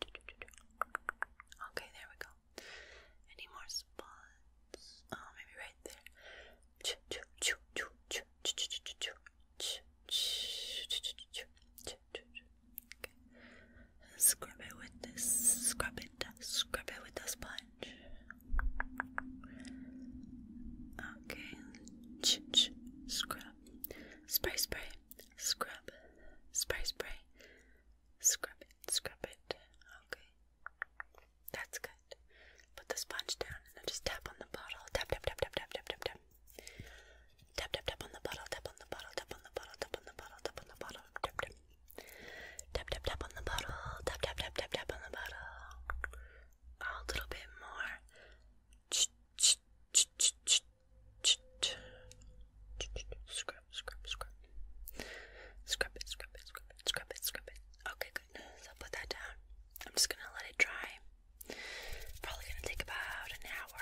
Okay, there we go. Any more spots? Oh, maybe right there. Okay. Scrub it with this. Scrub it and scrub it with a sponge. Okay, ch ch scrub, spray spray, scrub, spray spray, scrub it, scrub it. Okay, that's good. Put the sponge down and then just tap on the bottle. Tap tap tap tap tap tap tap tap. Tap tap tap on the bottle. Tap on the bottle. Tap on the bottle. Tap on the bottle. Tap on the bottle. Tap on the bottle. Tap tap. Tap on the bottle. Tap tap tap tap tap on the bottle. A little bit more. Scrub, scrub, scrub. Scrub it, scrub it, scrub it, scrub it, scrub it. Okay, good. So I'll put that down. I'm just gonna let it dry. Probably gonna take about an hour,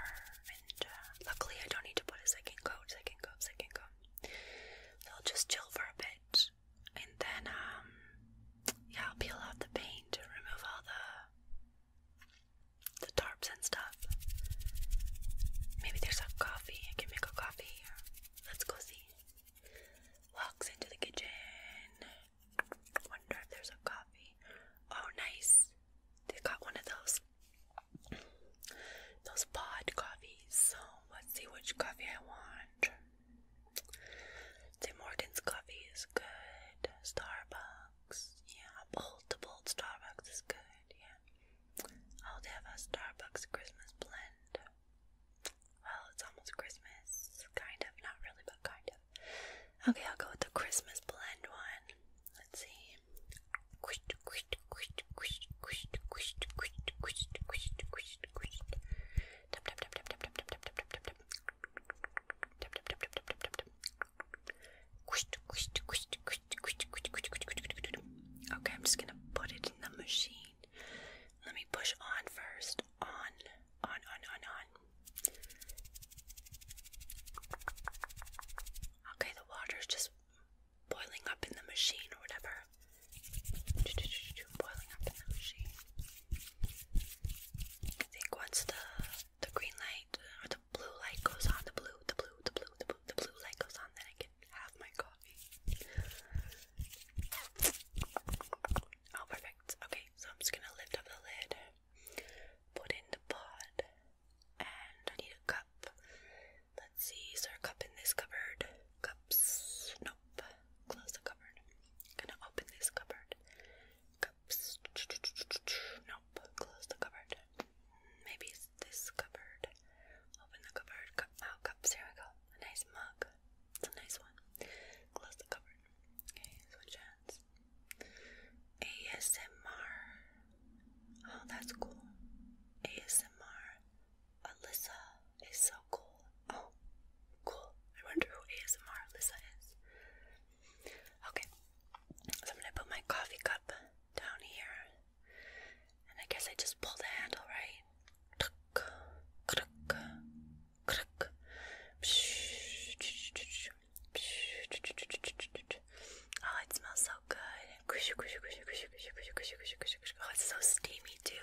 and uh, luckily I don't need to put a second coat, second coat, second coat. I'll just chill for a bit, and then um yeah peel off the paint remove all the the tarps and stuff maybe there's a coffee I can make a coffee let's go see walks into the kitchen wonder if there's a coffee oh nice they got one of those those pod coffees so let's see which coffee I want orange. Tim Hortons coffee is good. Starbucks, yeah. Bold to bold Starbucks is good, yeah. I'll have a Starbucks Christmas blend. Well, it's almost Christmas. Kind of, not really, but kind of. Okay, I'll go with the Christmas blend one. Let's see. Okay, I'm just gonna put it in the machine. Let me push on first. On, on, on, on, on. Okay, the water's just boiling up in the machine or whatever boiling up in I think once the the green light or uh, the blue light goes on, the blue, the blue, the blue, the blue, the blue light goes on, then I can have my coffee. Oh, perfect. Okay, so I'm just gonna lift up the lid, put in the pod, and I need a cup. Let's see, is there cup in this cupboard? Cups? Nope. Close the cupboard. Gonna open this cupboard. Cups. Nope. Close the cupboard. Maybe this cupboard. Open the cupboard. Cup. Oh, cups. Here we go. A nice mug. It's a nice one. Close the cupboard. Okay, switch hands. ASMR. Oh, that's cool. ASMR. Alyssa is so cool. Oh, cool. I wonder who ASMR Alyssa is. Okay, so I'm gonna put my coffee cup down here, and I guess I just pull the handle right. Oh, it smells so good. Oh, it's so steamy too.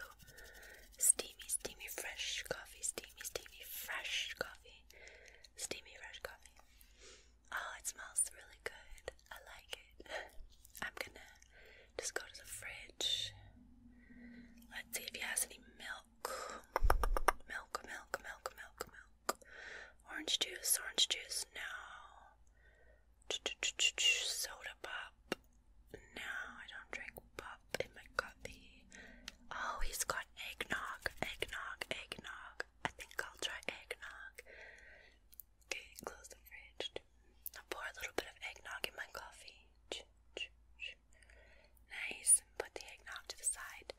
Steamy, steamy, fresh coffee. Steamy, steamy, fresh coffee. Steamy, fresh coffee. Oh, it smells really good. I like it. I'm gonna just go to the fridge. Let's see if he has any milk. Milk, milk, milk, milk, milk. Orange juice, orange juice, no. Soda pop. No, I don't drink pop in my coffee. Oh, he's got eggnog, eggnog, eggnog. I think I'll try eggnog. Okay, close the fridge. I'll pour a little bit of eggnog in my coffee. Nice. Put the eggnog to the side.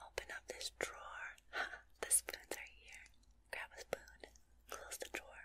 Open up this drawer. the spoons are here. Grab a spoon. Close the drawer.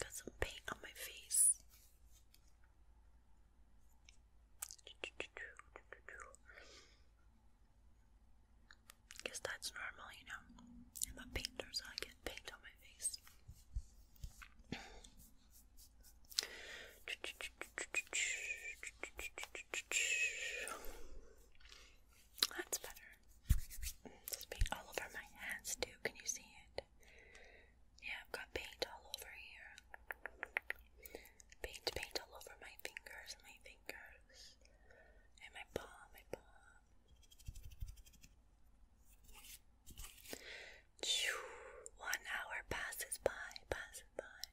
Got some paint on my face. Guess that's normal, you know. I'm a painter, so I get paint on my face. That's better paint all over my hands too. Can you see it? Yeah, I've got paint all over here. Paint, paint all over my fingers, my fingers, and my palm, my palm. One hour passes by, passes by.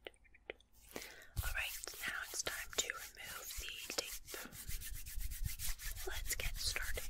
Alright, now it's time to remove the tape. Let's get started.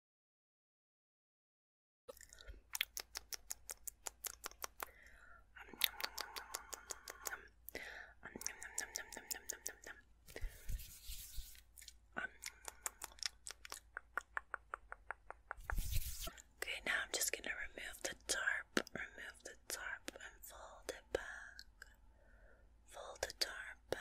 Okay, now I'm just going to remove the tarp, remove the tarp and fold it back. Fold the tarp back.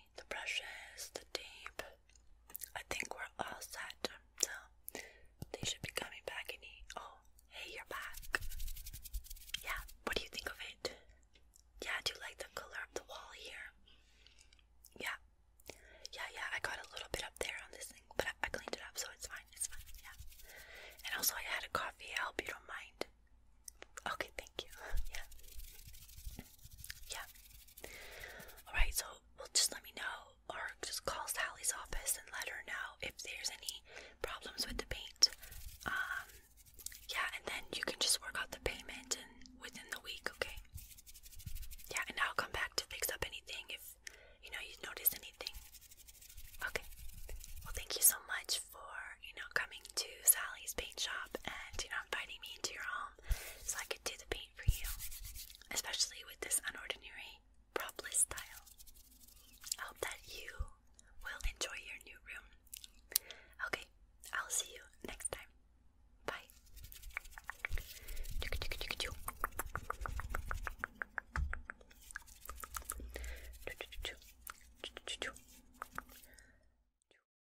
the brushes, the tape. I think we're all set, so they should be coming back any. Oh, hey, you're back. Yeah, what do you think of it? Yeah, do like the color of the wall here? Yeah, yeah, yeah. I got a little bit up there on this thing, but I, cleaned it up, so it's fine. It's fine. Yeah. And also, I had a coffee. I you don't mind. Okay, thank you. Yeah. Yeah. Alright, so well just let me know or just call Sally's office and let her know if there's any problems with the paint. Um yeah, and then you can just work out the payment and within the week, okay? Yeah, and I'll come back to fix up anything if you know you notice anything. Okay. Well thank you so much for, you know, coming to Sally's paint shop and you know inviting me into your home so I could do the paint for you, especially with this unordinary propless style. I hope that you will enjoy your new room. Okay, I'll see you next time. Bye.